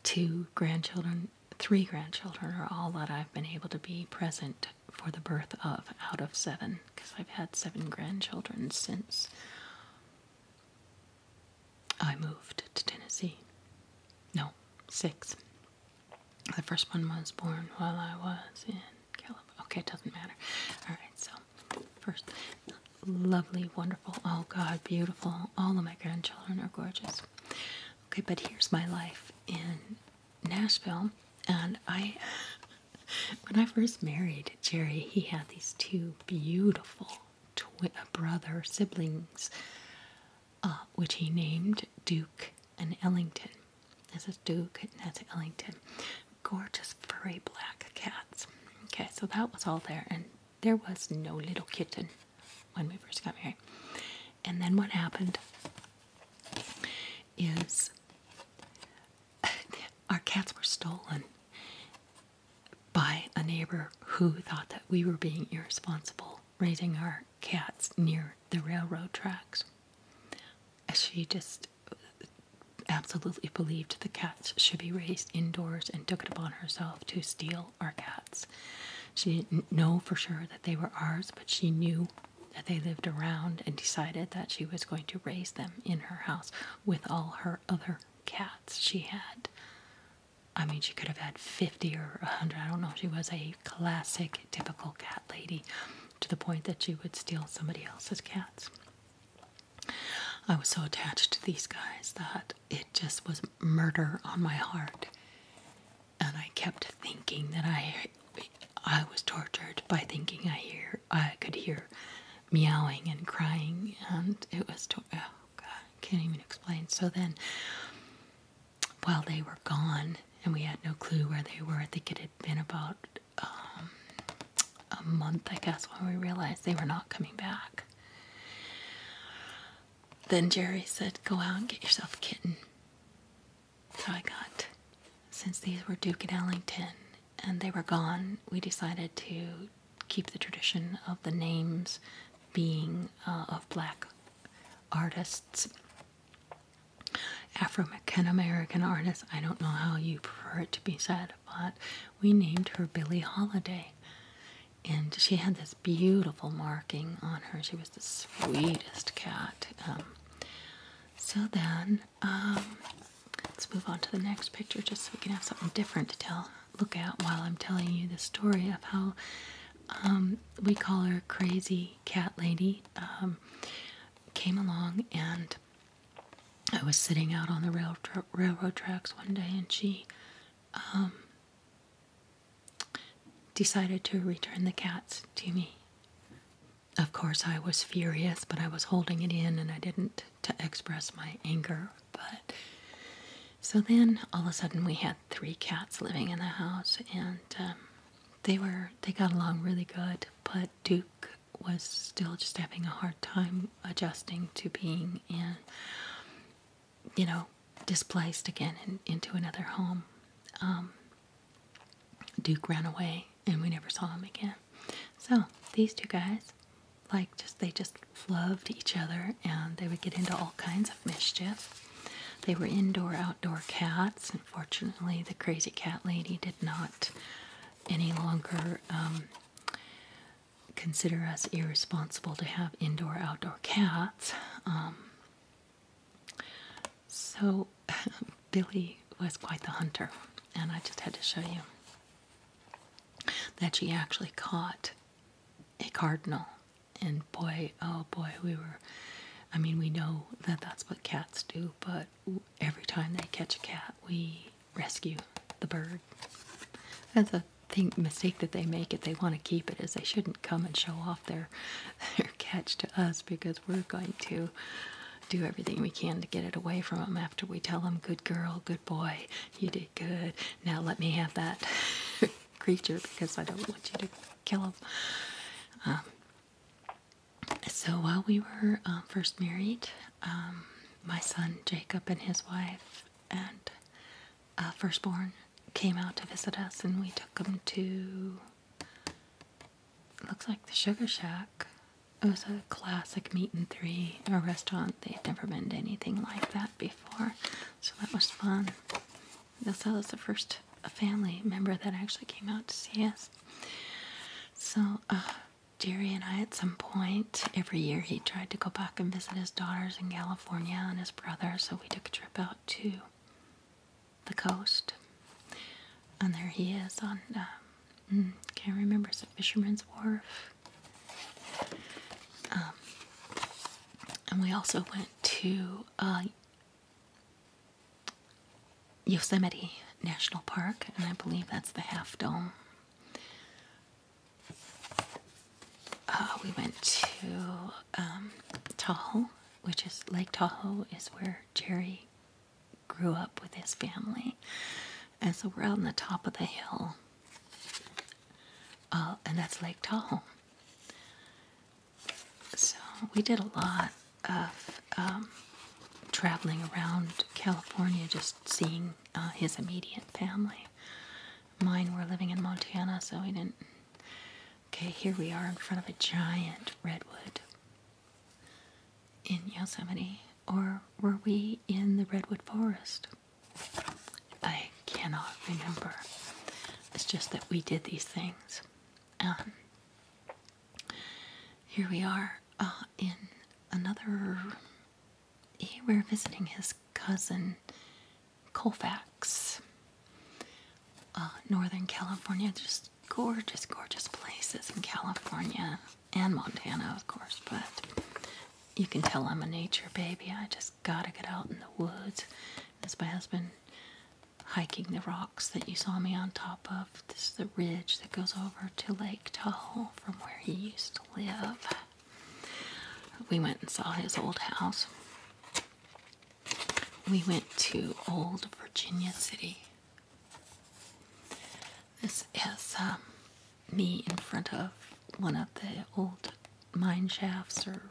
two grandchildren, three grandchildren are all that I've been able to be present for the birth of out of seven, because I've had seven grandchildren since I moved to Tennessee. No, six. The first one was born while I was in California. Okay, it doesn't matter. All right, so first, lovely, wonderful, oh God, beautiful. All of my grandchildren are gorgeous. Okay, but here's my life in Nashville. And I, when I first married Jerry, he had these two beautiful twi brother siblings, uh, which he named Duke and Ellington. This is Duke and that's Ellington. Gorgeous furry black cats. Okay, so that was all there, and there was no little kitten when we first got married. And then what happened is our cats were stolen by a neighbor who thought that we were being irresponsible raising our cats near the railroad tracks. She just absolutely believed the cats should be raised indoors and took it upon herself to steal our cats. She didn't know for sure that they were ours, but she knew that they lived around and decided that she was going to raise them in her house with all her other cats she had. I mean, she could have had 50 or 100. I don't know. She was a classic, typical cat lady to the point that she would steal somebody else's cats. I was so attached to these guys that it just was murder on my heart. And I kept thinking that I I was tortured by thinking I hear I could hear meowing and crying and it was to- uh, God, can't even explain. So then, while they were gone and we had no clue where they were, I think it had been about um, a month, I guess, when we realized they were not coming back. Then Jerry said, Go out and get yourself a kitten. So I got, since these were Duke and Ellington and they were gone, we decided to keep the tradition of the names being uh, of black artists, Afro American artists. I don't know how you prefer it to be said, but we named her Billie Holiday. And she had this beautiful marking on her. She was the sweetest cat. Um, so then, um, let's move on to the next picture just so we can have something different to tell look at while I'm telling you the story of how um, we call her Crazy Cat Lady um, came along and I was sitting out on the railroad tracks one day and she um, decided to return the cats to me. Of course, I was furious, but I was holding it in and I didn't to express my anger but so then all of a sudden we had three cats living in the house and um, they were they got along really good but duke was still just having a hard time adjusting to being in you know displaced again in, into another home um, duke ran away and we never saw him again so these two guys like just they just loved each other and they would get into all kinds of mischief. They were indoor outdoor cats. and fortunately, the crazy cat lady did not any longer um, consider us irresponsible to have indoor outdoor cats. Um, so Billy was quite the hunter, and I just had to show you that she actually caught a cardinal. And boy, oh boy, we were. I mean, we know that that's what cats do, but every time they catch a cat, we rescue the bird. That's a mistake that they make if they want to keep it is they shouldn't come and show off their their catch to us because we're going to do everything we can to get it away from them after we tell them, "Good girl, good boy, you do good. Now let me have that creature because I don't want you to kill him. Um, so while we were um, first married, um, my son Jacob and his wife and uh, firstborn came out to visit us, and we took them to looks like the Sugar Shack. It was a classic meat and three, a restaurant. They'd never been to anything like that before, so that was fun. This was the first family member that actually came out to see us. So, uh, Jerry and I, at some point every year, he tried to go back and visit his daughters in California and his brother, so we took a trip out to the coast. And there he is on, um, hmm, can't remember, it's a fisherman's wharf. Um, and we also went to uh, Yosemite National Park, and I believe that's the Half Dome. Uh, we went to um, Tahoe, which is Lake Tahoe, is where Jerry grew up with his family. And so we're out on the top of the hill. Uh, and that's Lake Tahoe. So we did a lot of um, traveling around California, just seeing uh, his immediate family. Mine were living in Montana, so we didn't. Okay, here we are in front of a giant redwood in Yosemite. Or were we in the redwood forest? I cannot remember. It's just that we did these things. Um, here we are uh, in another. Eh, we're visiting his cousin Colfax, uh, Northern California. Just gorgeous, gorgeous places in California and Montana, of course, but you can tell I'm a nature baby. I just gotta get out in the woods. That's my husband hiking the rocks that you saw me on top of. This is the ridge that goes over to Lake Tahoe from where he used to live. We went and saw his old house. We went to Old Virginia City. This is um, me in front of one of the old mine shafts or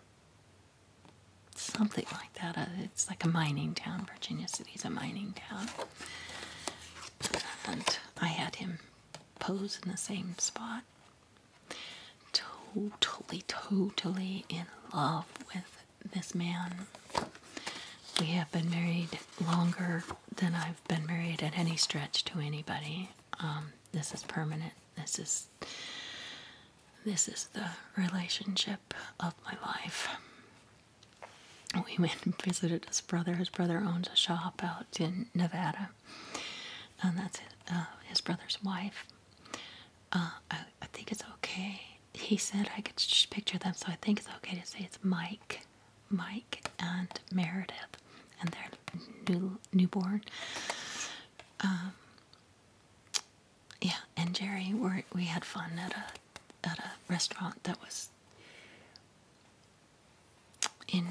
something like that. Uh, it's like a mining town. Virginia City is a mining town. And I had him pose in the same spot. Totally, totally in love with this man. We have been married longer than I've been married at any stretch to anybody. Um, this is permanent. This is this is the relationship of my life. We went and visited his brother. His brother owns a shop out in Nevada, and that's uh, his brother's wife. Uh, I think it's okay. He said I could just picture them, so I think it's okay to say it's Mike, Mike, and Meredith and their new, newborn. Um, yeah, and Jerry, we had fun at a at a restaurant that was in.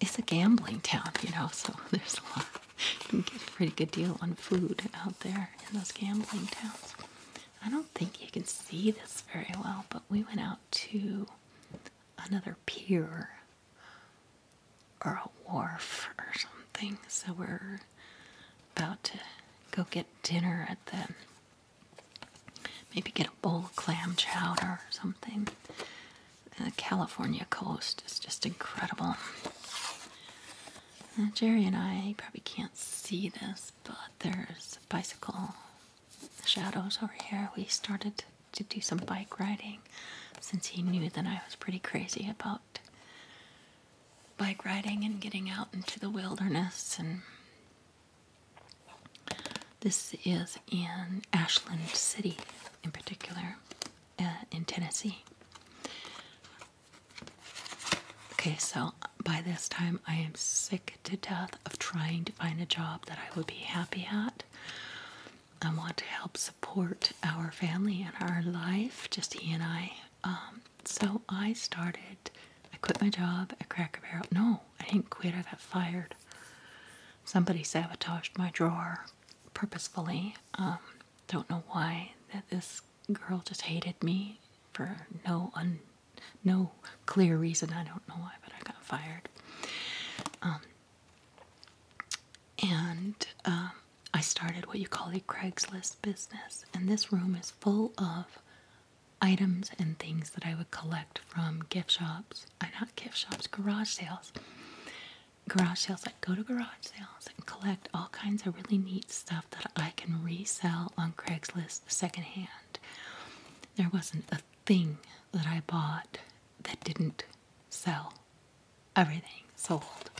It's a gambling town, you know, so there's a lot. You get a pretty good deal on food out there in those gambling towns. I don't think you can see this very well, but we went out to another pier or a wharf or something. So we're about to go get dinner at the maybe get a bowl of clam chowder or something. The California coast is just incredible. Uh, Jerry and I probably can't see this, but there's bicycle shadows over here. We started to do some bike riding since he knew that I was pretty crazy about bike riding and getting out into the wilderness and this is in Ashland City in particular uh, in Tennessee. Okay, so by this time I am sick to death of trying to find a job that I would be happy at. I want to help support our family and our life, just he and I. Um, so I started, I quit my job at Cracker Barrel. No, I didn't quit, I got fired. Somebody sabotaged my drawer purposefully. Um, don't know why that this girl just hated me for no un, no clear reason. I don't know why, but I got fired. Um, and um, I started what you call a Craigslist business. And this room is full of items and things that I would collect from gift shops. Uh, not gift shops, garage sales. Garage sales. I go to garage sales and collect all kinds of really neat stuff that I can resell on Craigslist secondhand. There wasn't a thing that I bought that didn't sell everything sold.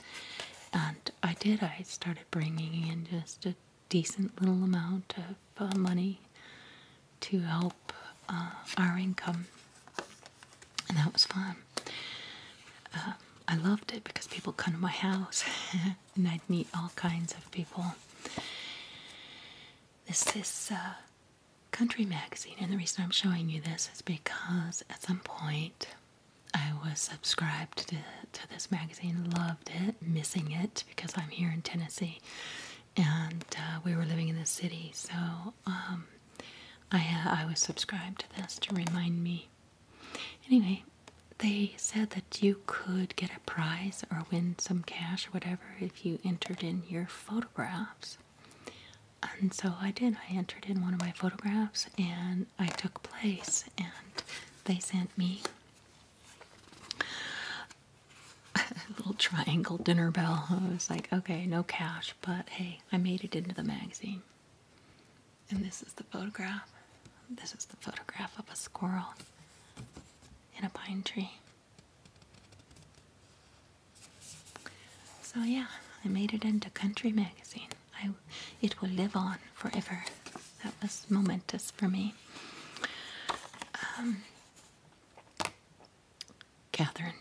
And I did, I started bringing in just a decent little amount of uh, money to help uh, our income. And that was fun. Um, I loved it because people come to my house and I'd meet all kinds of people. This is uh, Country Magazine. And the reason I'm showing you this is because at some point I was subscribed to, to this magazine, loved it, missing it because I'm here in Tennessee and uh, we were living in the city. So um, I, I was subscribed to this to remind me. Anyway, they said that you could get a prize or win some cash or whatever if you entered in your photographs. And so I did. I entered in one of my photographs and I took place, and they sent me a little triangle dinner bell. I was like, okay, no cash, but hey, I made it into the magazine. And this is the photograph. This is the photograph of a squirrel in a pine tree. So yeah, I made it into Country Magazine. it will live on forever. That was momentous for me. Um, Catherine,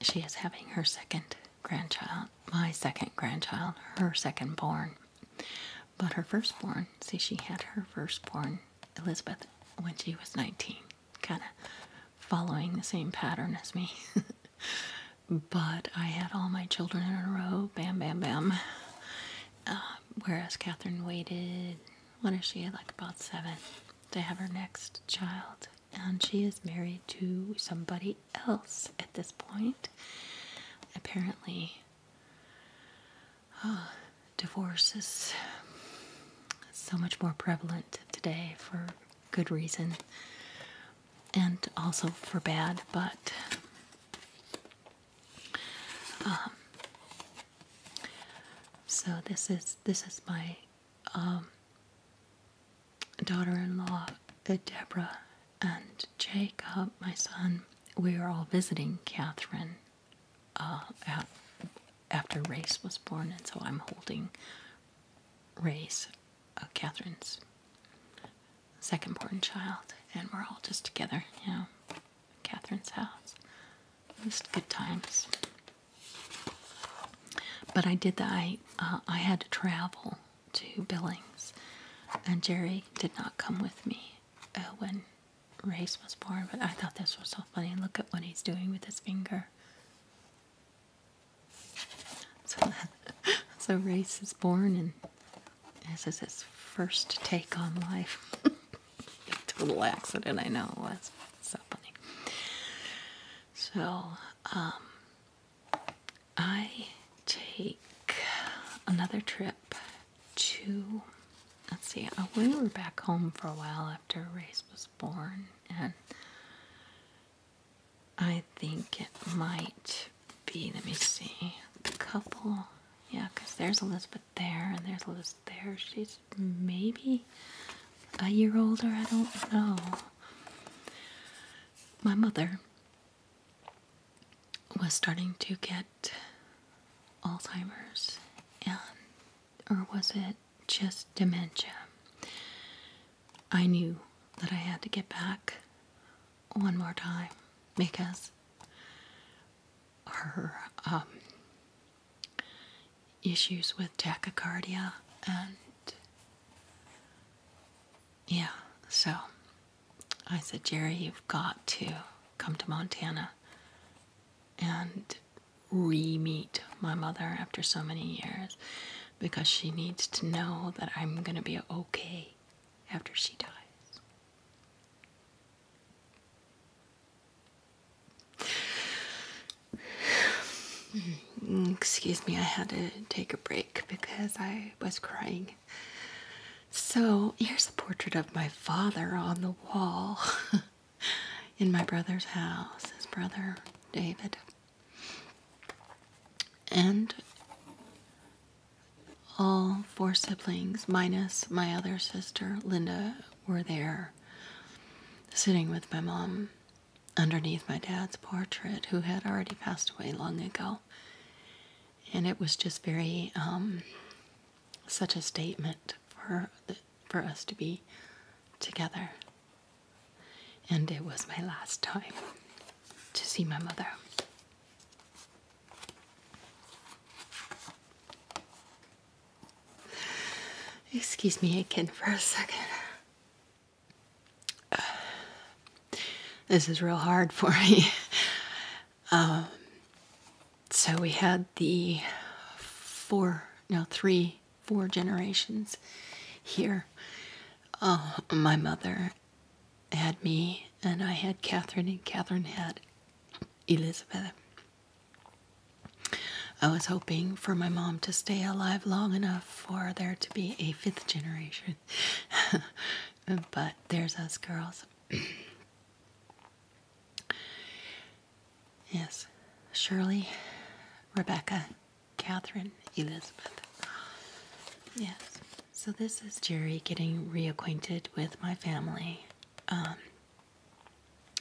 she is having her second grandchild, my second grandchild, her second born. But her firstborn, see, she had her firstborn, Elizabeth, when she was 19 kind of following the same pattern as me. but I had all my children in a row, bam, bam, bam. Uh, whereas Catherine waited, what is she, like about seven, to have her next child. And she is married to somebody else at this point. Apparently, uh, divorce is so much more prevalent today for good reason and also for bad, but um, so this is this is my um, daughter-in-law Deborah and Jacob, my son. We are all visiting Catherine uh, at after Race was born, and so I'm holding Race, uh, Catherine's second born child, and we're all just together, you know, Catherine's house. Just good times. But I did that. I, uh, I had to travel to Billings, and Jerry did not come with me uh, when Race was born. But I thought this was so funny. Look at what he's doing with his finger. So, so Race is born, and this is his first take on life. Total accident, I know it was. so funny. So, um, I take another trip to. Let's see. We were back home for a while after Race was born, and I think it might be, let me see, a couple, yeah, because there's Elizabeth there, and there's Elizabeth there. She's maybe a year older, I don't know. My mother was starting to get Alzheimer's, and or was it just dementia? I knew that I had to get back one more time because her um, issues with tachycardia and yeah, so I said, Jerry, you've got to come to Montana and re meet my mother after so many years because she needs to know that I'm going to be okay after she dies. Excuse me, I had to take a break because I was crying. So, here's a portrait of my father on the wall. in my brother's house, his brother David. And all four siblings, minus my other sister, Linda, were there sitting with my mom underneath my dad's portrait, who had already passed away long ago. And it was just very, um, such a statement for the for us to be together. And it was my last time to see my mother. Excuse me again for a second. this is real hard for me. Um, so we had the four, no, three four generations here. Uh, my mother had me, and I had Catherine, and Catherine had Elizabeth. I was hoping for my mom to stay alive long enough for there to be a fifth generation. but there's us girls. yes, Shirley, Rebecca, Catherine Elizabeth. Yes. So this is Jerry getting reacquainted with my family. Um,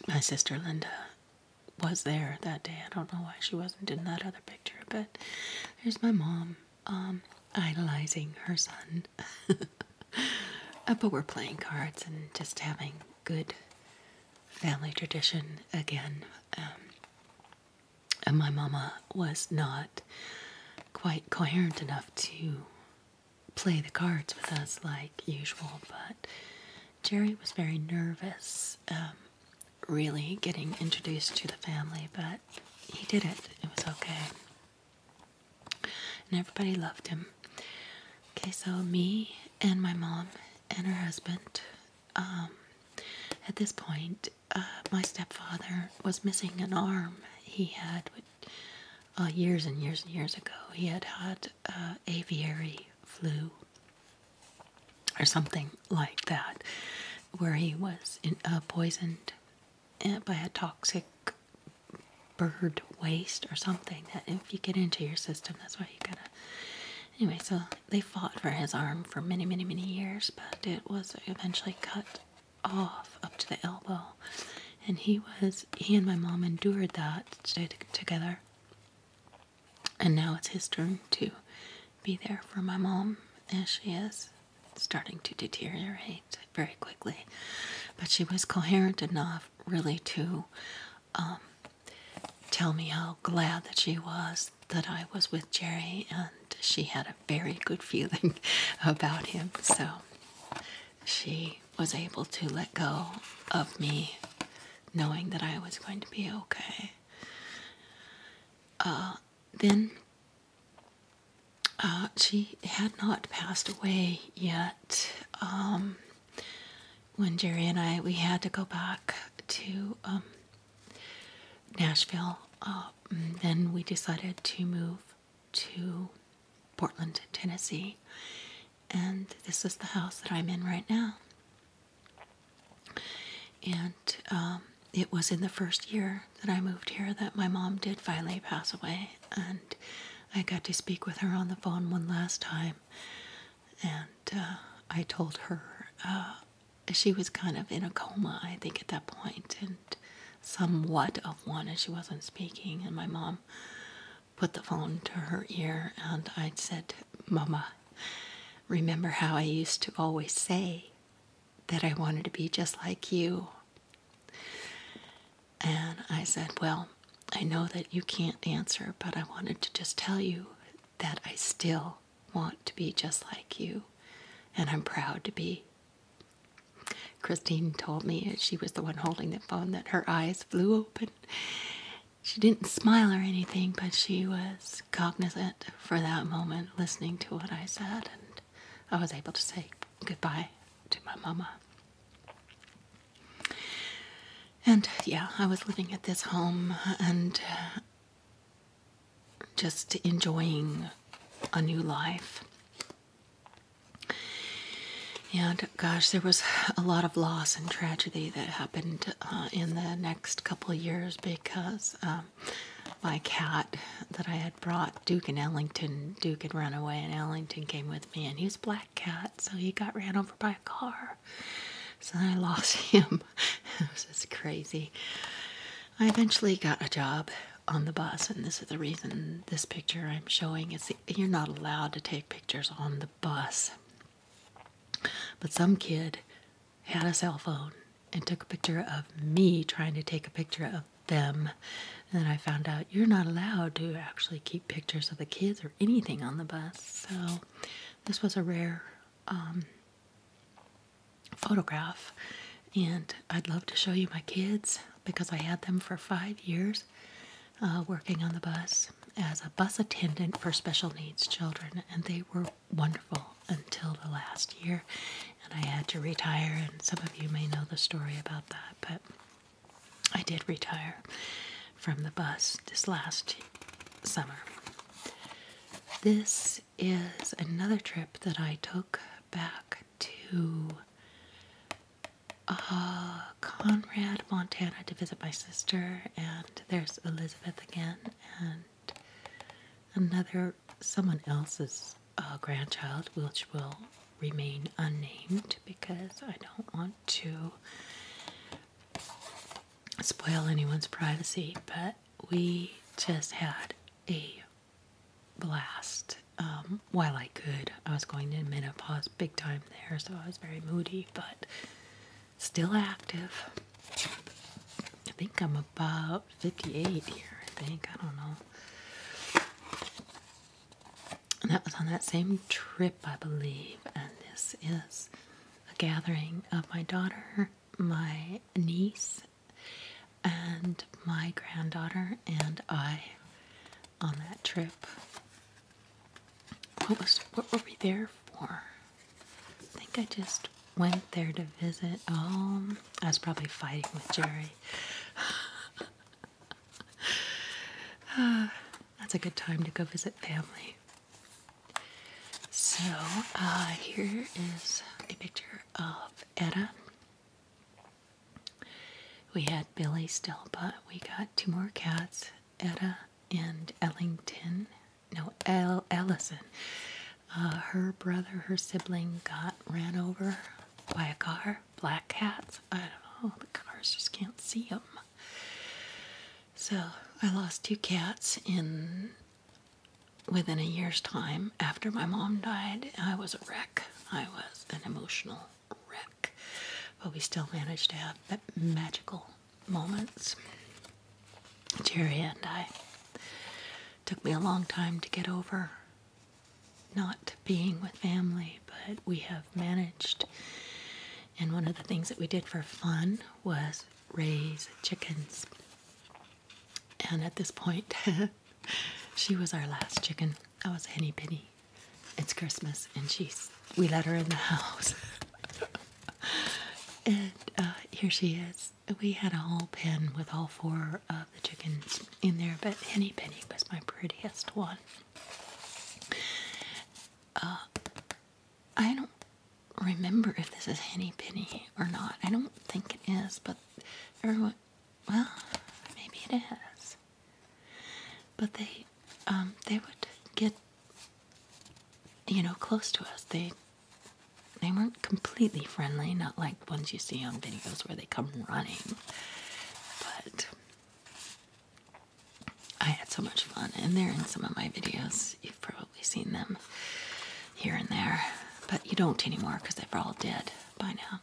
my sister Linda was there that day. I don't know why she wasn't in that other picture, but there's my mom um, idolizing her son. but we're playing cards and just having good family tradition again. Um, and my mama was not quite coherent enough to play the cards with us like usual, but Jerry was very nervous, um, really getting introduced to the family, but he did it. It was okay. And everybody loved him. Okay, so me and my mom and her husband um, at this point, uh, my stepfather was missing an arm. He had, uh, years and years and years ago, he had had uh, aviary flu or something like that, where he was poisoned eh, by a toxic bird waste or something that if you get into your system, that's why you gotta. Anyway, so they fought for his arm for many, many, many years, but it was eventually cut off up to the elbow. And he was, he and my mom endured that, stayed together. And now it's his turn to be there for my mom and she is starting to deteriorate very quickly. But she was coherent enough, really, to um, tell me how glad that she was that I was with Jerry, and she had a very good feeling about him. So she was able to let go of me, knowing that I was going to be okay. Uh, then uh, she had not passed away yet. Um, when Jerry and I, we had to go back to um, Nashville. Uh, mm, then we decided to move to Portland, Tennessee, and this is the house that I'm in right now. And um, it was in the first year that I moved here that my mom did finally pass away, and I got to speak with her on the phone one last time, and uh, I told her uh, she was kind of in a coma, I think, at that point, and somewhat of one, and she wasn't speaking. And my mom put the phone to her ear, and I said, Mama, remember how I used to always say that I wanted to be just like you? And I said, Well, I know that you can't answer, but I wanted to just tell you that I still want to be just like you, and I'm proud to be. Christine told me she was the one holding the phone that her eyes flew open. She didn't smile or anything, but she was cognizant for that moment, listening to what I said, and I was able to say goodbye to my mama. And yeah, I was living at this home, and just enjoying a new life. And gosh, there was a lot of loss and tragedy that happened uh, in the next couple of years because um, my cat that I had brought, Duke and Ellington, Duke had run away and Ellington came with me and he was a black cat, so he got ran over by a car. So I lost him. it was just crazy. I eventually got a job on the bus, and this is the reason this picture I'm showing is you're not allowed to take pictures on the bus. But some kid had a cell phone and took a picture of me trying to take a picture of them. And then I found out you're not allowed to actually keep pictures of the kids or anything on the bus. So this was a rare um, photograph. And I'd love to show you my kids because I had them for five years uh, working on the bus as a bus attendant for special needs children. And they were wonderful until the last year. And I had to retire. And some of you may know the story about that. But I did retire from the bus this last summer. This is another trip that I took back to uh, Conrad, Montana to visit my sister, and there's Elizabeth again, and another someone else's uh, grandchild, which will remain unnamed because I don't want to spoil anyone's privacy, but we just had a blast. Um, while I could, I was going to menopause big time there, so I was very moody, but still active. I think I'm about 58 here, I think. I don't know. And that was on that same trip, I believe. And this is a gathering of my daughter my niece and my granddaughter and I on that trip. What was what were we there for? I think I just went there to visit. Oh, I was probably fighting with Jerry. that's a good time to go visit family. So uh, here is a picture of Etta. We had Billy still, but we got two more cats, Etta and Ellington. No, El Ellison. Uh, her brother, her sibling, got ran over by a car. Black cats. I don't know. The cars just can't see them. So I lost two cats in within a year's time after my mom died, I was a wreck. I was an emotional wreck. But we still managed to have magical moments. Jerry and I. Took me a long time to get over not being with family, but we have managed. And one of the things that we did for fun was raise chickens. And at this point, she was our last chicken. That was Henny Penny. It's Christmas, and she's we let her in the house. and uh, here she is. We had a whole pen with all four of the chickens in there, but Henny Penny was my prettiest one. Uh, I don't remember if this is Henny Penny or not. I don't think it is, but everyone, well, maybe it is. But they, um, they would get, you know, close to us. They, they weren't completely friendly, not like ones you see on videos where they come running. But I had so much fun, and they're in some of my videos. you probably We've seen them here and there, but you don't anymore because they're all dead by now.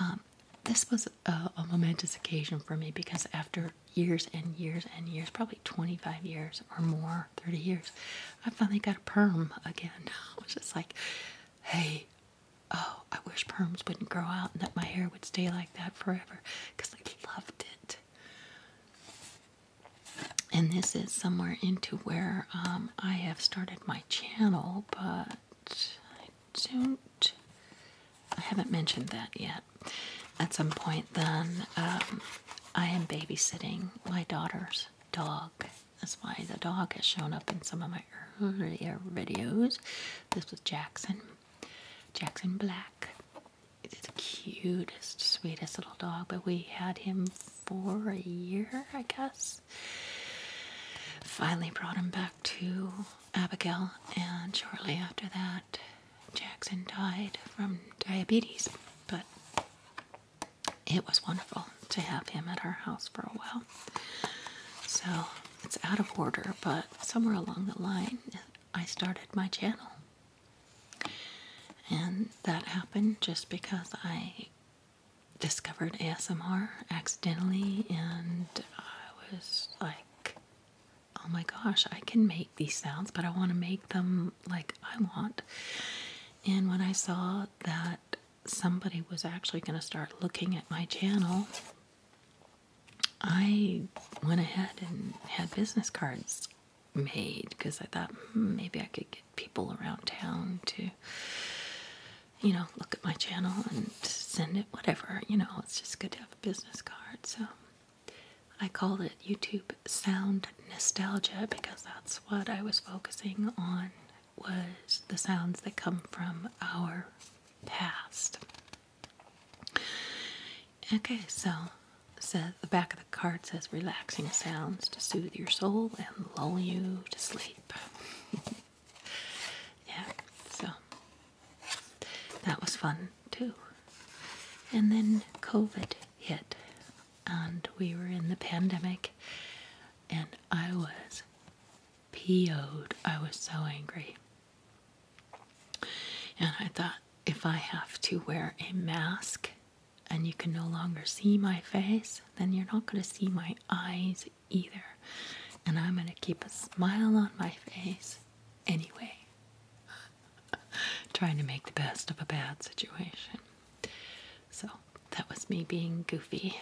Um, this was a, a momentous occasion for me because after years and years and years, probably 25 years or more, 30 years, I finally got a perm again. I was just like, hey, oh, I wish perms wouldn't grow out and that my hair would stay like that forever because I loved it and this is somewhere into where um, I have started my channel, but I don't, I haven't mentioned that yet. At some point, then, um, I am babysitting my daughter's dog. That's why the dog has shown up in some of my earlier videos. This was Jackson, Jackson Black the cutest, sweetest little dog, but we had him for a year, I guess. Finally brought him back to Abigail, and shortly after that, Jackson died from diabetes. But it was wonderful to have him at our house for a while. So it's out of order, but somewhere along the line, I started my channel and that happened just because I discovered ASMR accidentally, and I was like, oh my gosh, I can make these sounds, but I want to make them like I want. And when I saw that somebody was actually going to start looking at my channel, I went ahead and had business cards made because I thought hmm, maybe I could get people around town to, you know, look at my channel and send it, whatever. You know, it's just good to have a business card. So I called it YouTube Sound Nostalgia because that's what I was focusing on was the sounds that come from our past. Okay, so says the back of the card says relaxing sounds to soothe your soul and lull you to sleep. yeah, so that was fun too. And then COVID hit, and we were in the pandemic, and I was PO'd. I was so angry. And I thought, if I have to wear a mask and you can no longer see my face, then you're not going to see my eyes either. And I'm going to keep a smile on my face anyway. Trying to make the best of a bad situation. So that was me being goofy.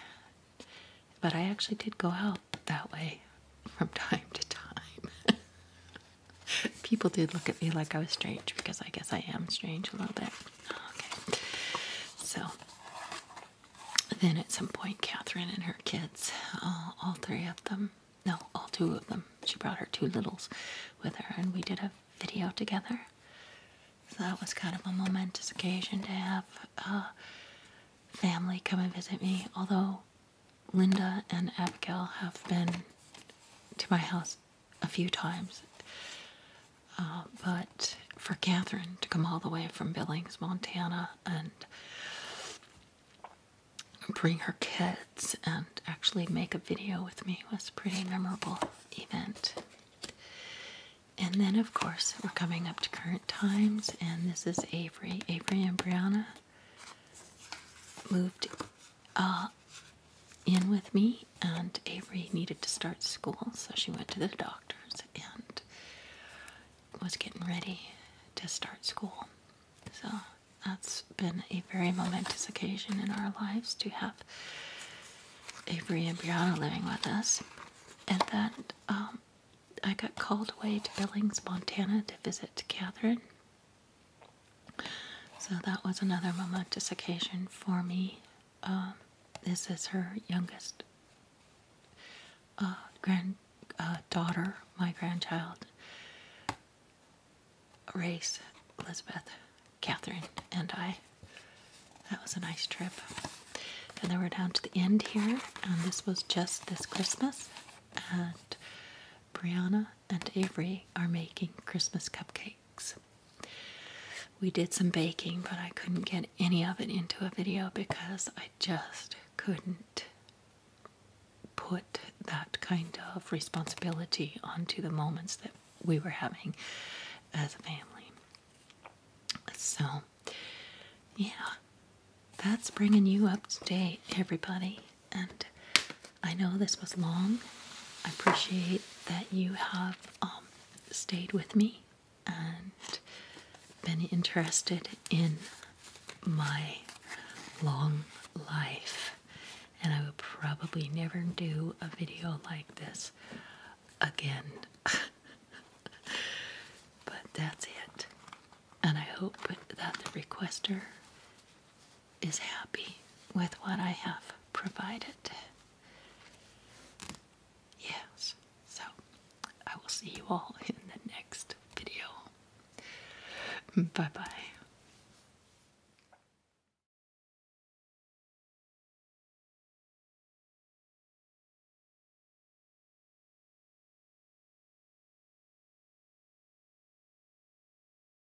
But I actually did go out that way from time to time. People did look at me like I was strange because I guess I am strange a little bit. Okay. So then at some point, Catherine and her kids, uh, all three of them, no, all two of them, she brought her two littles with her, and we did a video together. So that was kind of a momentous occasion to have uh, family come and visit me, although Linda and Abigail have been to my house a few times. Uh, but for Catherine to come all the way from Billings, Montana, and bring her kids and actually make a video with me was a pretty memorable event. And then, of course, we're coming up to current times, and this is Avery. Avery and Brianna moved uh, in with me, and Avery needed to start school, so she went to the doctor's and was getting ready to start school. So that's been a very momentous occasion in our lives to have Avery and Brianna living with us. And then um, I got called away to Billings, Montana to visit Catherine. So that was another momentous occasion for me um, this is her youngest uh, granddaughter, uh, my grandchild, Race, Elizabeth, Catherine, and I. That was a nice trip. And then we're down to the end here, and this was just this Christmas. And Brianna and Avery are making Christmas cupcakes. We did some baking, but I couldn't get any of it into a video because I just couldn't put that kind of responsibility onto the moments that we were having as a family. So, yeah, that's bringing you up to date, everybody. And I know this was long. I appreciate that you have um, stayed with me and been interested in my long life. And I would probably never do a video like this again. but that's it. And I hope that the requester is happy with what I have provided. Yes, so I will see you all in the next video. Bye bye.